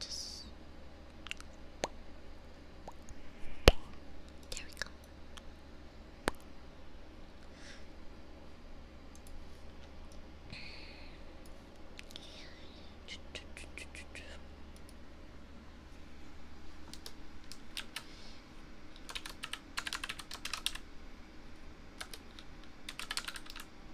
Just there we go.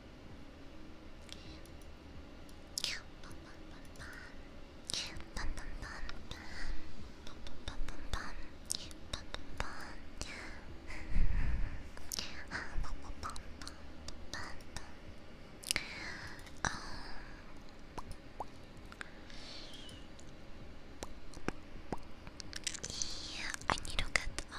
Yeah, I need to get um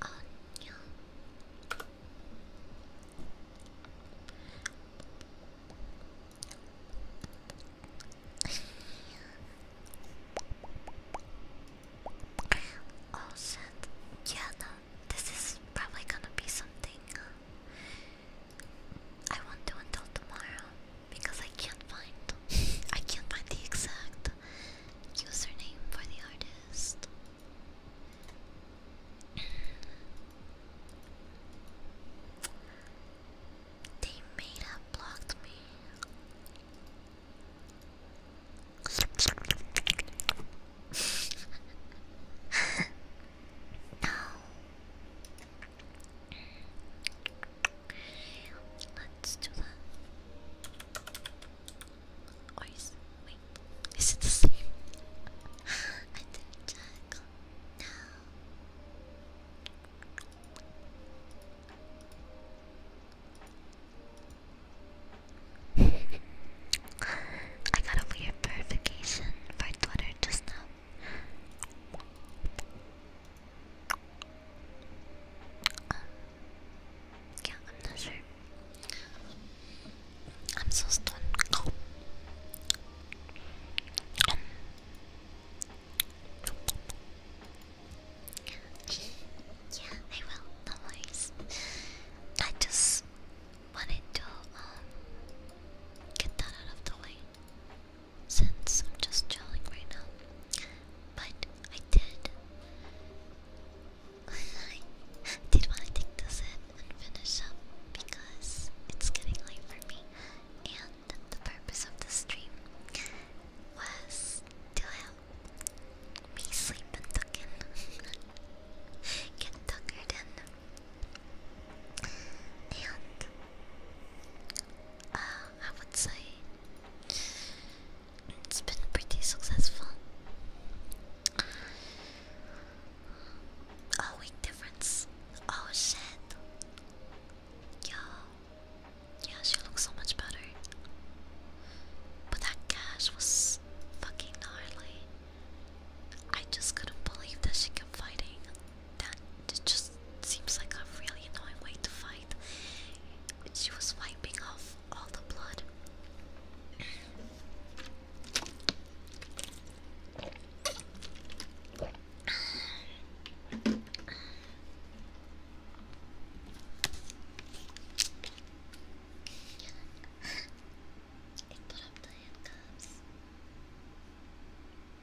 안녕. oh Yeah, no. This is probably gonna be something uh, I won't until tomorrow because I can't find I can't find the exact username for the artist. They may have blocked me. *laughs* no, Let's do that. Or is wait, is it the same? *gasps* I didn't check. No. *laughs* I got a weird verification for Twitter just now yeah, I'm not I'm so stoned. yeah, I will. No I just wanted to um, get that out of the way since I'm just chilling right now. But I did. *laughs* I did want to finish up because it's getting late for me. And the purpose of the stream was to help me sleep and tuck in. *laughs* Get tuckered in. And uh, I would say it's been pretty successful. Oh, week difference. Oh shit. Yo. Yeah, she looks so much better. But that cash was fucking gnarly. I just couldn't believe that she kept fighting that just seems like a really annoying way to fight. She was wiping off all the blood. It put up the handcuffs.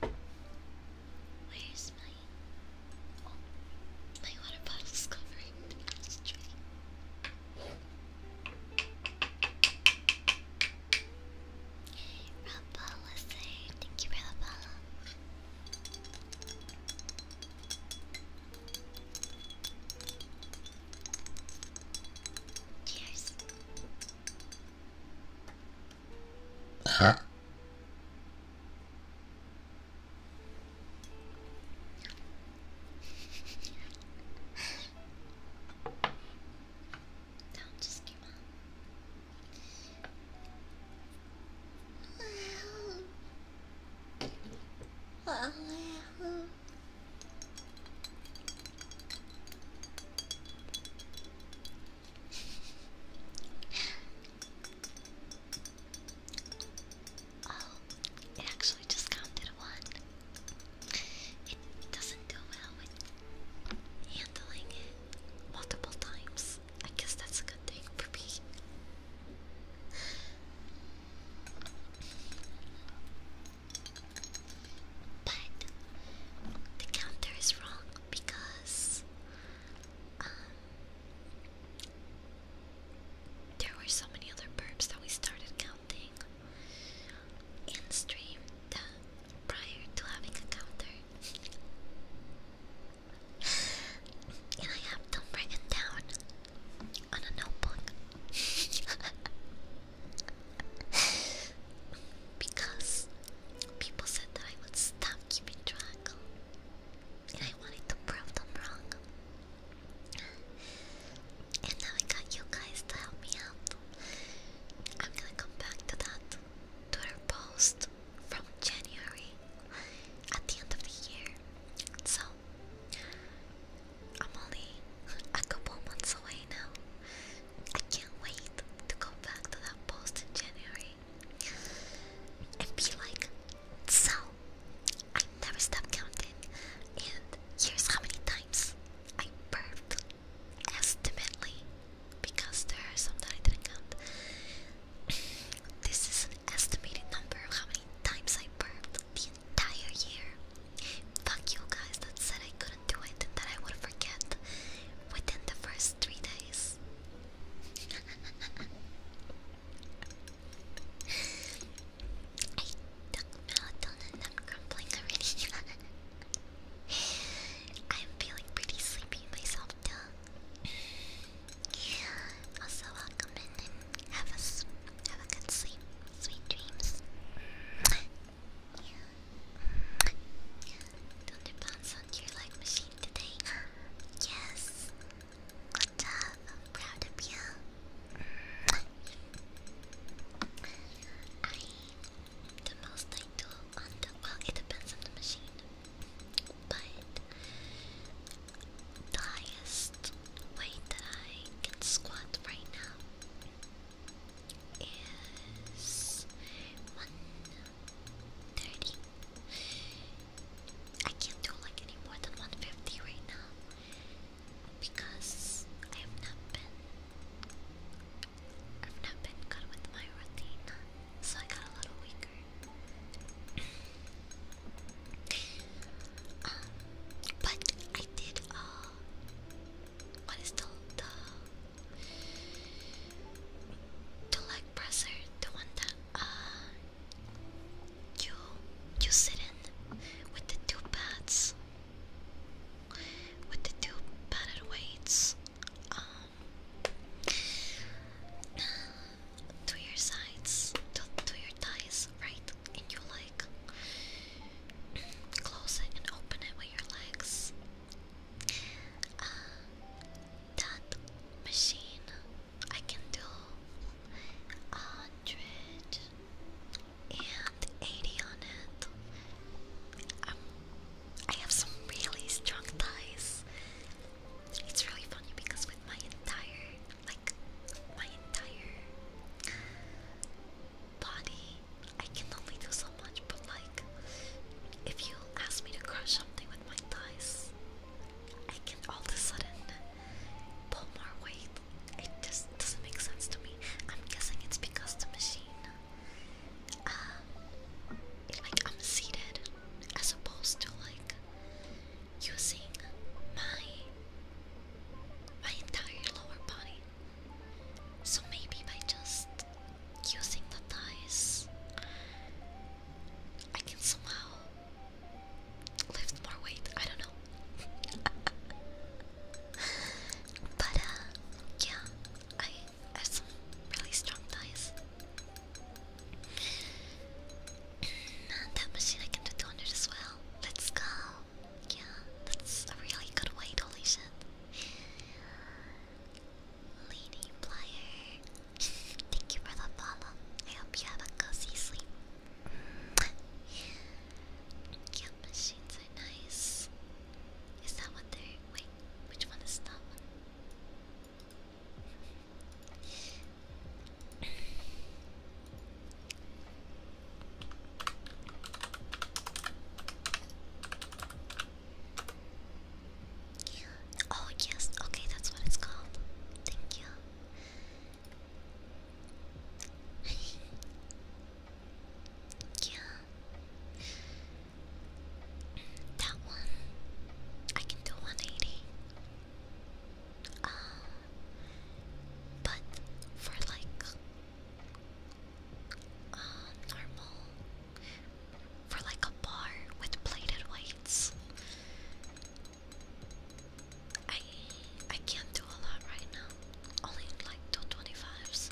Where's my oh, my water bottle's covering the ashtray. Rapala say, thank you Rapala. Cheers. Huh? Don't just came out oh, it actually just counted one. It doesn't do well with handling it multiple times. I guess that's a good thing for me. But the counter is wrong because um, there were so many other burps that we started counting in stream that prior to having a counter. and I have them written down on a notebook. *laughs* because people said that I would stop keeping track, and I wanted to prove them wrong. And now I got you guys to help me out. I'm gonna come back to that to our post from January at the end of the year. So I'm only a couple months away now. I can't wait to go back to that post in January and be like, so I never stopped counting, and here's how many times I burped estimately because there are some that I didn't count. *clears throat* this is an estimated number of how many times I burped the entire year. Fuck you guys that said I could do it that I would forget within the first three days. I took melatonin and I'm crumbling already. I'm feeling pretty sleepy myself too. Also, welcome in and have a, have a good sleep. Sweet dreams. Don't depend on your like machine today. Yes. I'm the most I on the well it depends on the machine. But the highest weight that I can squat right now is one thirty. I can't do like any more than one fifty right now because I have not been I've not been good with my routine, so I got a little weaker. *coughs* Um, but I did uh, what is the the the leg presser? The one that uh, you you sit in with the two pads with the two padded weights um to your sides to, to your thighs right and you like close it and open it with your legs that machine, I can do hundred and eighty on it. Um, I have some really strong ties. It's really funny because with my entire, like, my entire body, I can only do so much, but like, if you ask me to crush something with my thighs, I can all of a sudden pull more weight. It just doesn't make sense to me. I'm guessing it's because the machine, um, like I'm seated as opposed to like using my my entire lower body so maybe by just using the dice, I can somehow lift more weight. I don't know. *laughs* but uh, yeah, I have some really strong dice. that machine I can do 200 as well. Let's go. Yeah, that's a really good weight, holy shit. Lady Flyer. Thank you for the follow. I hope you have a cozy sleep. Camp machines are nice. Is that what they're. Wait, which one is that Oh, yes, okay, that's what it's called. Thank you. yeah. That one. I can do 180. Um, uh, but for like uh, normal for like a bar with plated whites. I I can't do a lot right now. Only like twenty fives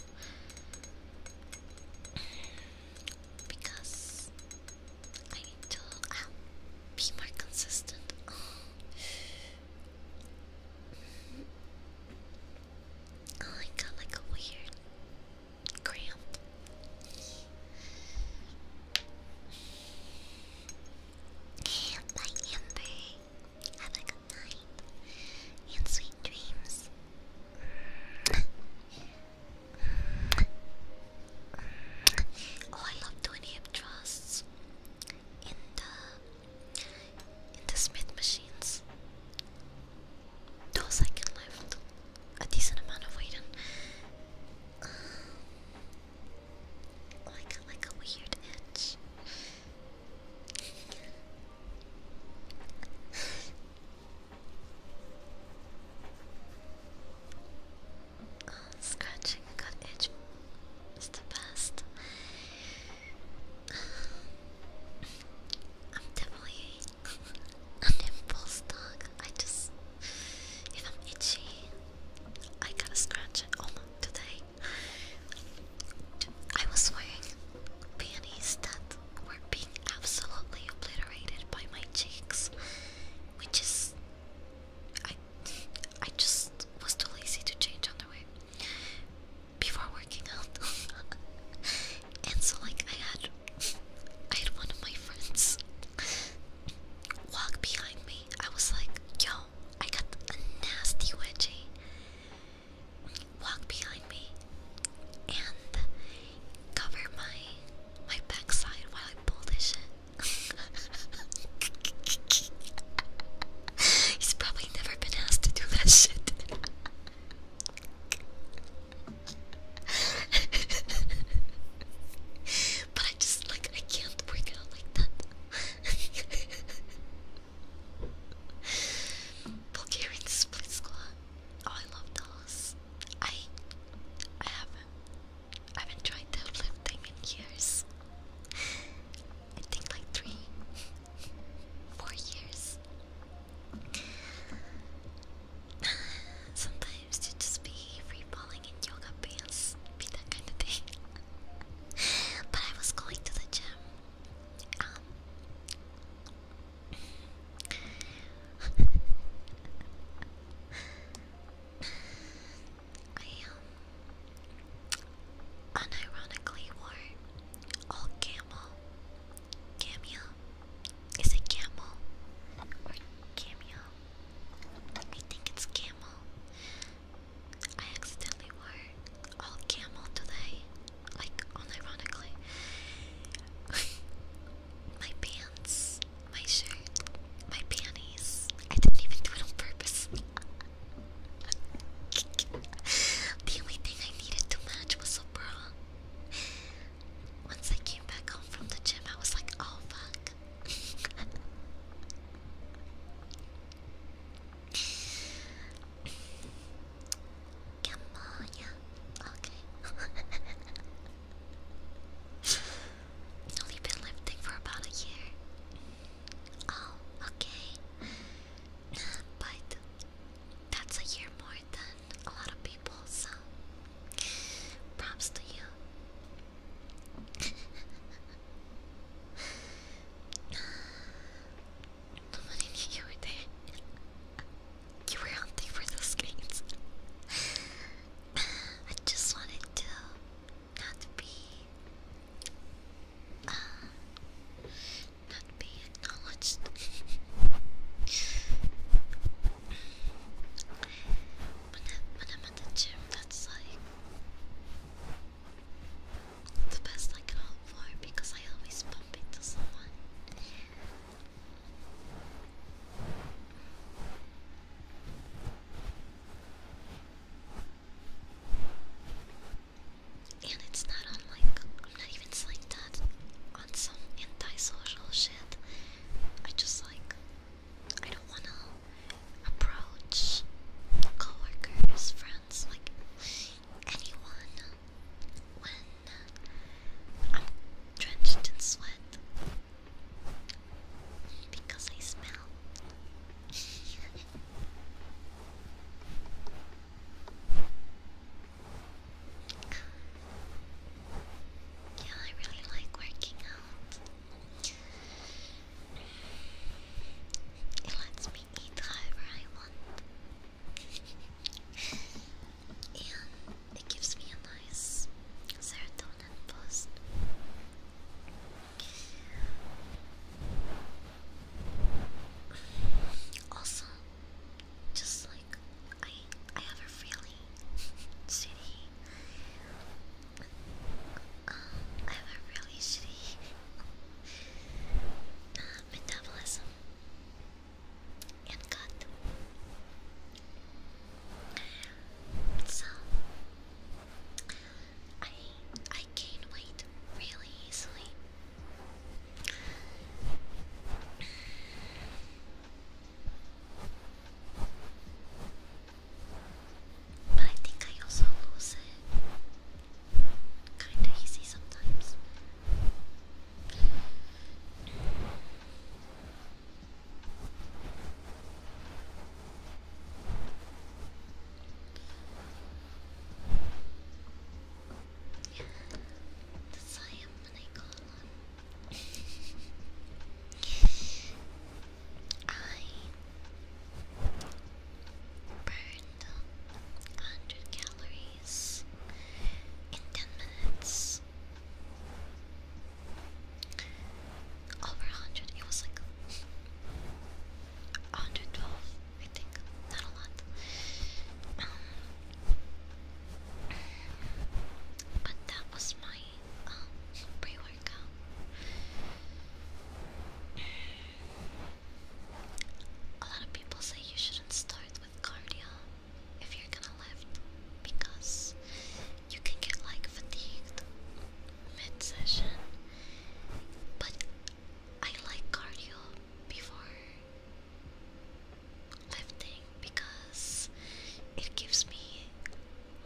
*clears throat* Because I need to ah, be more consistent. *sighs* Oh, I got like a weird cramp. Bye, Amber. Have a good night and sweet dreams. Oh, I love doing hip in the in the Smith machines those oh, I can lift a decent amount of weight in. like like a weird itch. Oh, scratching a gut itch is the best. I'm definitely an impulse dog. I just, if I'm itchy, I gotta scratch it. Oh, today I was wearing panties that were being absolutely obliterated by my cheeks, which is, I, I just was too lazy to change on the way before working out. *laughs* and so like I I had one of my friends walk behind me. I was like, yo, I got a nasty wedgie. Walk behind me and cover my my backside while I pull this shit. *laughs* He's probably never been asked to do that shit. *laughs* *laughs* but I just like I can't work out like that. *laughs* Bulgarian split squat. Oh, I love those. I I haven't I haven't tried deadlifting in years. I think like three, *laughs* four years. *sighs* Sometimes to just be free balling in yoga pants, be that kind of thing. *laughs* but I was going to the gym. Um, *laughs* I um unironically wore all camel Cameo? Is it camel? Or cameo? I think it's camel. I accidentally wore all camel today. Like, unironically. *laughs* my pants, my shirt, my panties. I didn't even do it on purpose. *laughs* the only thing I needed to match was a bra. Once I came back home from the gym, I was like, oh fuck. Come on, yeah. Okay. Only been lifting for about a year. Oh, okay. But that's a year more than a lot of people, so props to you. *laughs* Nobody knew you You were hunting for those screens. I just wanted to not be, uh, not be acknowledged. when, I, am at the gym, that's like the best I can hope for because I always bump into someone. And it's not on I'm not even saying that on some antisocial shit. I just like I don't wanna approach coworkers, friends, like anyone when I'm drenched in sweat because I smell. *laughs* Yeah, I really like working out. It lets me eat however I want. and it gives me a nice serotonin boost. Also, just like I I have a really shitty um, I have a really shitty uh, metabolism and gut. So I I gain weight really easily. But I think I also lose it kinda easy sometimes. That's why I'm gonna go I burned 100 calories in 10 minutes. Over 100, it was like 112, I think. Not a lot. Um, but that was my um, pre workout. A lot of people say you shouldn't start with cardio if you're gonna lift because you can get like fatigued mid session. But I like cardio before lifting because it gives me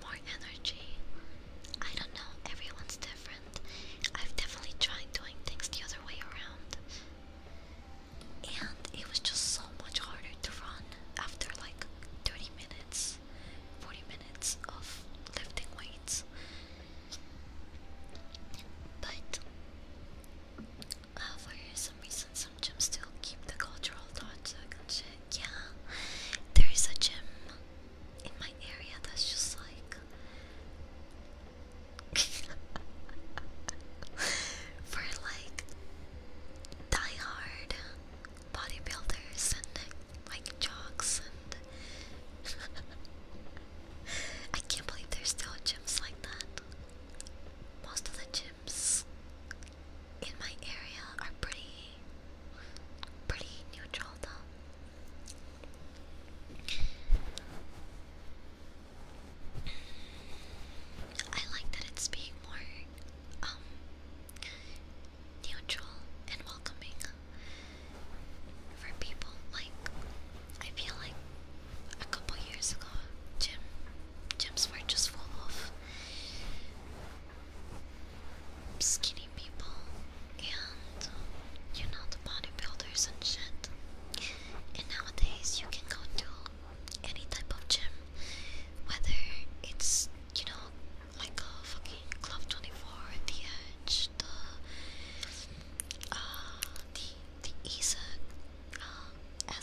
more energy. I don't know, everyone's different. I've definitely tried doing things the other way around, and it was just so much harder to run after like 30 minutes, 40 minutes of lifting weights. But uh, for some reason, gyms still keep the cultural touch and Yeah, there is a gym in my area that's just like *laughs* for like die bodybuilders and like jocks and *laughs* I can't believe there's still gyms like that. Most of the gyms in my area are pretty pretty neutral though. I like that it's being more um neutral and welcoming for people. Like I feel like a couple years ago, gym gyms were just full skinny people and uh, you know the bodybuilders and shit. And nowadays you can go to any type of gym, whether it's you know like a fucking Club Twenty Four, The Edge, the uh, the the ESA *gasps* *laughs* uh,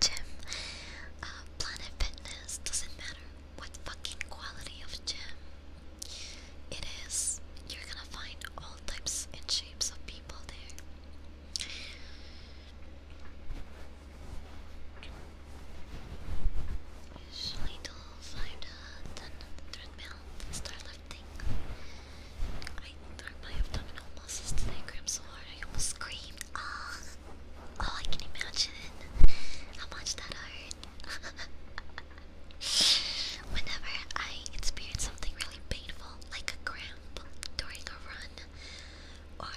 gym, Planet Fitness, doesn't matter what fucking quality of gym it is, you're gonna find all types and shapes of people there. Usually do find a treadmill, start lifting my, my abdominal muscles today cramp so hard I almost screamed. Ah, oh I can imagine how much that hurt. *laughs* Whenever I experience something really painful, like a cramp during a run, or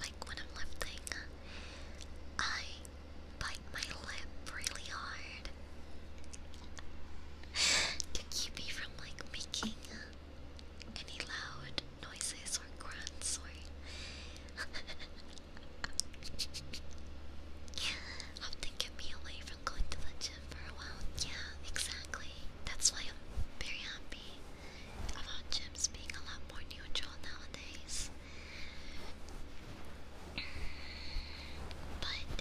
like when I'm lifting, I bite my lip really hard to keep me from like making any loud noises or grunts or *laughs* often get me away from going to the gym for a while. Yeah, exactly. That's why I'm very happy about gyms being a lot more neutral nowadays. But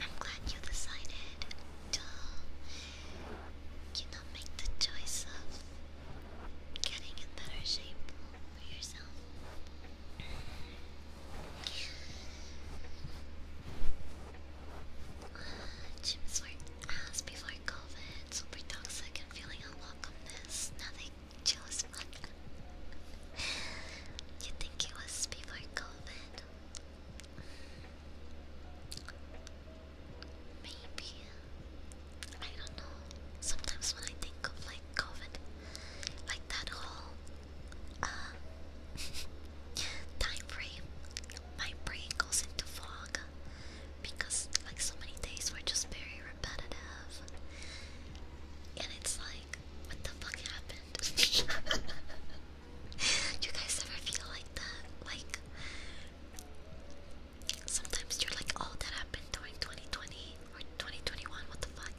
I'm glad you decided to cannot make the choice of getting in better shape for yourself. *sighs* gyms were ass before COVID, super toxic and feeling unwelcomeness. Now they chose you think it was before COVID? Maybe I don't know. Sometimes when I think of like COVID, like that whole uh, *laughs* my brain goes into fog because like so many days were just very repetitive, and it's like, what the fuck happened? *laughs* you guys ever feel like that? Like, sometimes you're like, oh, that happened during 2020 or 2021, what the fuck?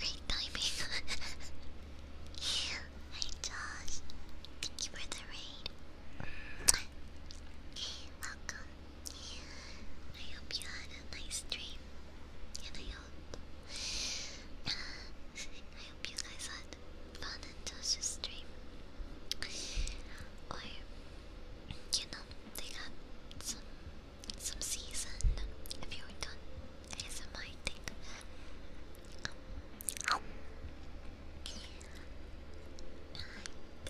Great timing. Hi Josh. Thank you for the raid. Welcome. I hope you had a nice dream. And I hope I hope you guys had fun in Josh's stream. Or you know, they got some some season if you're done ASMR thing. I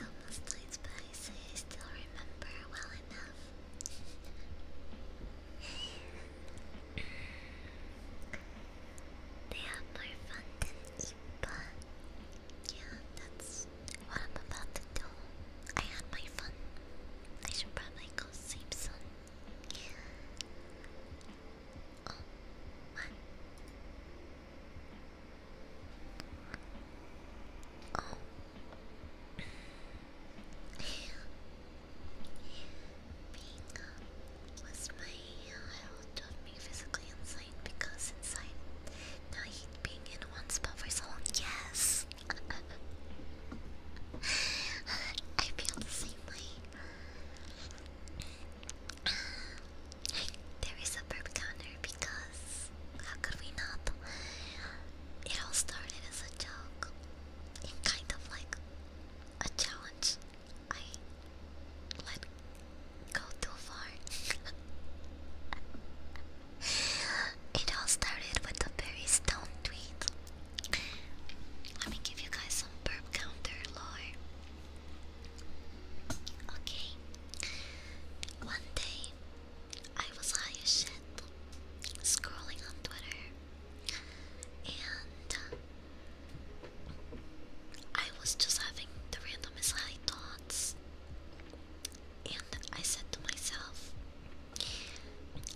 almost died, but I I still remember well enough. they have more fun than Ipa. Yeah, that's what I'm about to do. I had my fun. I should probably go sleep soon. Oh, what? Oh. *sighs* Being uh, was my uh, help drove me physically insane because since i being in one spot for so long, yes! *laughs* I feel the same way. There is a burp counter because how could we not? It all started as a joke and kind of like a challenge I let go too far. *laughs* it all started with a very stone tweet. Let me give you guys some burp counter lore. Okay. One day, I was high as shit, scrolling on Twitter, and uh, I was just having the randomest high thoughts. And I said to myself,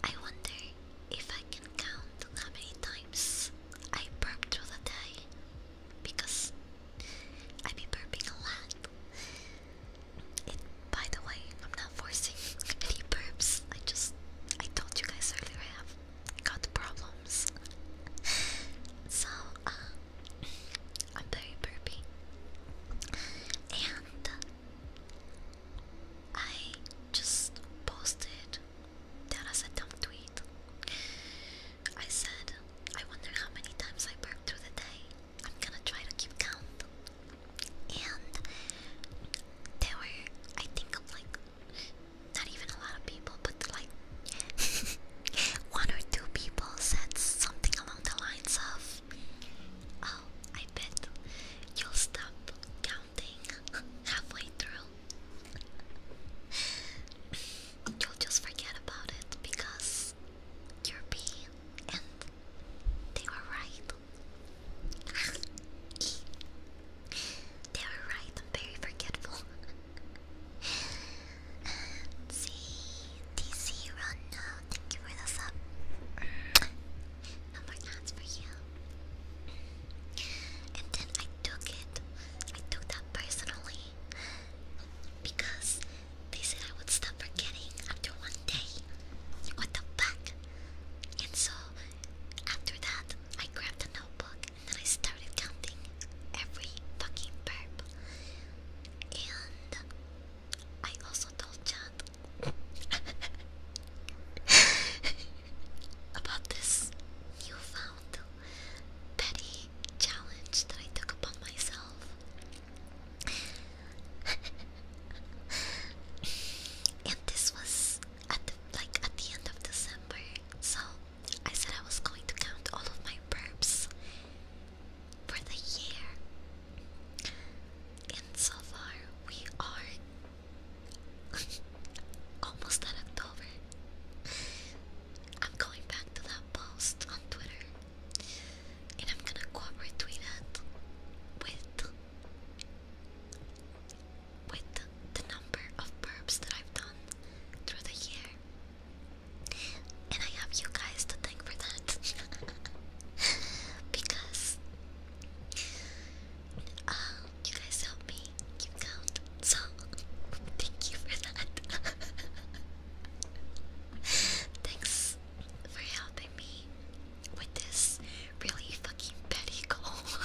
I wonder if I can count how many times I burp through the day because I be burping a lot. It, by the way, I'm not forcing *laughs* any burps. I just I told you guys earlier I have got problems. *laughs* so um, I'm very burpy. And I just posted that as a dumb tweet. I said, I wonder how many times I burp through the day. I'm gonna try to keep count. And there were, I think, like, not even a lot of people, but like *laughs* one or two people said something along the lines of, "Oh, I bet you'll stop counting halfway through. You'll just forget about it because you're being and they were right." *laughs* They were right, I'm very forgetful. *laughs* And run now. Thank you for the No more knots for you. And then I took it. I took that personally because they said I would stop forgetting after one day. What the fuck? And so after that, I grabbed a notebook and then I started counting every fucking burp. And I also told Chad *laughs* about this newfound petty challenge that I took upon myself. *laughs* and this was at the, like at the end of December, so I said I was going to count all of my burps for the year. And so far, we are *laughs* almost at October. I'm going back to that post on Twitter and I'm gonna go retweet it with, with the number of burps that I've done through the year. And I have you guys to thank for that. *laughs* because um, you guys helped me keep count. So thank you for that. *laughs* Thanks for helping me with this really fucking petty goal.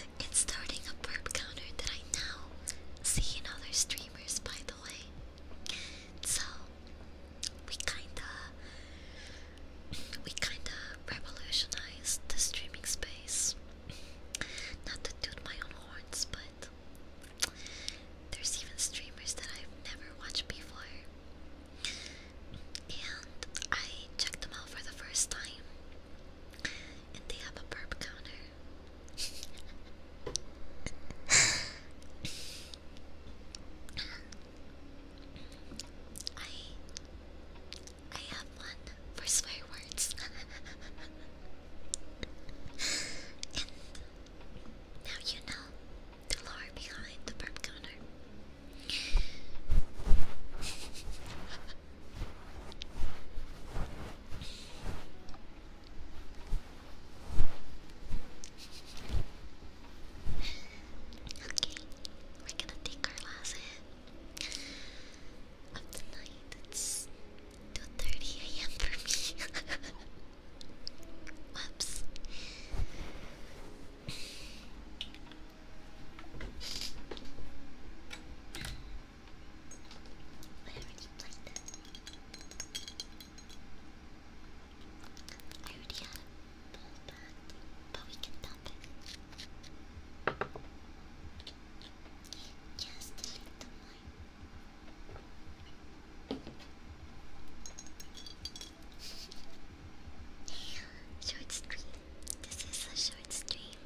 *laughs* It's starting a verb counter that I now see in other streamers, by the way. So we kinda, we kinda revolutionized the streaming space. Not to toot my own horns, but there's even streamers that I've never watched before. And I checked them out for the first time and they have a burp counter. I I have one for swear words. *laughs* and now you know the lore behind the burp counter. *laughs* we're gonna take our last hit of the It's 2.30 a.m. for me. Whoops. I already played that. I already had a ball back, but we can dump it. Just delete the mine. short stream. This is a short stream.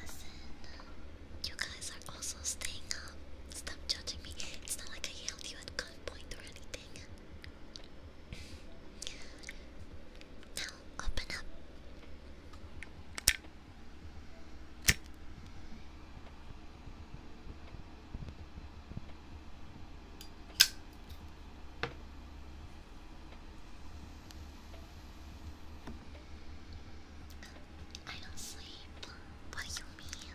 Listen, you guys are also staying up. Stop judging me. It's not like I held you at gunpoint or anything. Now, open up. I don't sleep. What do you mean?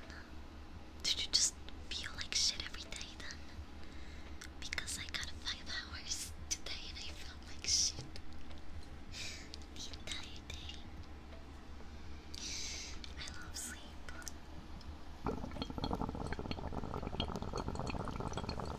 Did you just feel like shit every day then? Because I got five hours today and I felt like shit the day. I love sleep.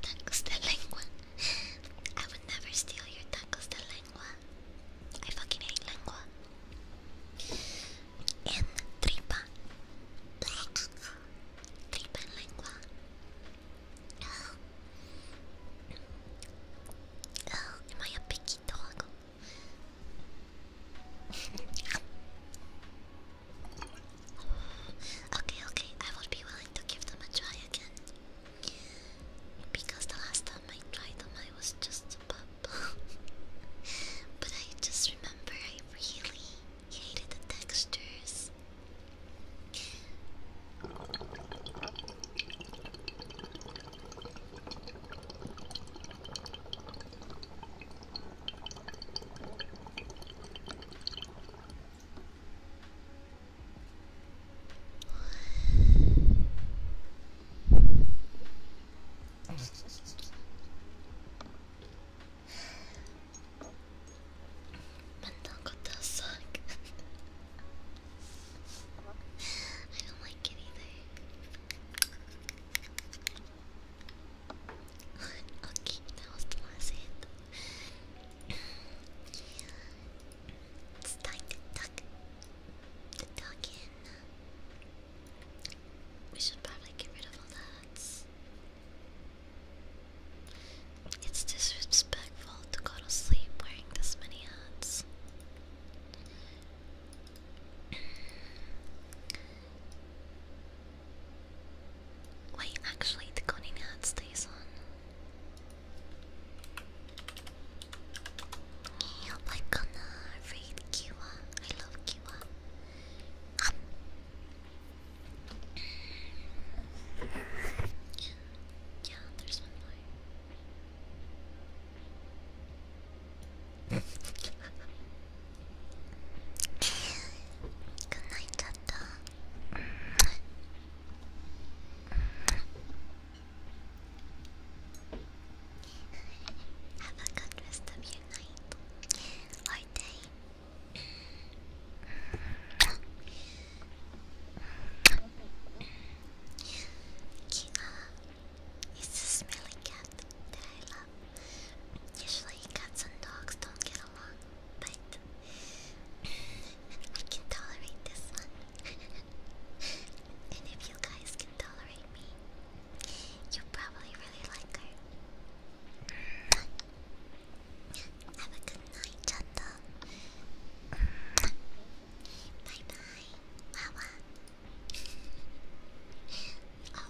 Tacos de lengua. I would never steal your tacos de lengua. I fucking hate lengua. En tripa. Tripa en lengua. Oh. Oh, am I a picky dog? Okay, okay, I would be willing to give them a try again. Because the last time I tried them, I was just a pup. *laughs* but I just remember I really hated the textures. Mental got does suck. *laughs* I don't like anything okay, that was the last hit. it's time to the dog in. We should probably get rid of all that. It's disrespectful to go to sleep wearing this many hats. Wait, actually, the coding hat stays on. I'm gonna read Kiwa. I love Kiwa. yeah, there's one more. 泣いちゃった。Have a good rest of your night or day. Kina is a smelly cat. that I love. Usually cats and dogs don't get along, but I can tolerate this one. *laughs* and if you guys can tolerate me, you probably really like her. Have a good night, Chanda. Bye bye. Wawa. oh,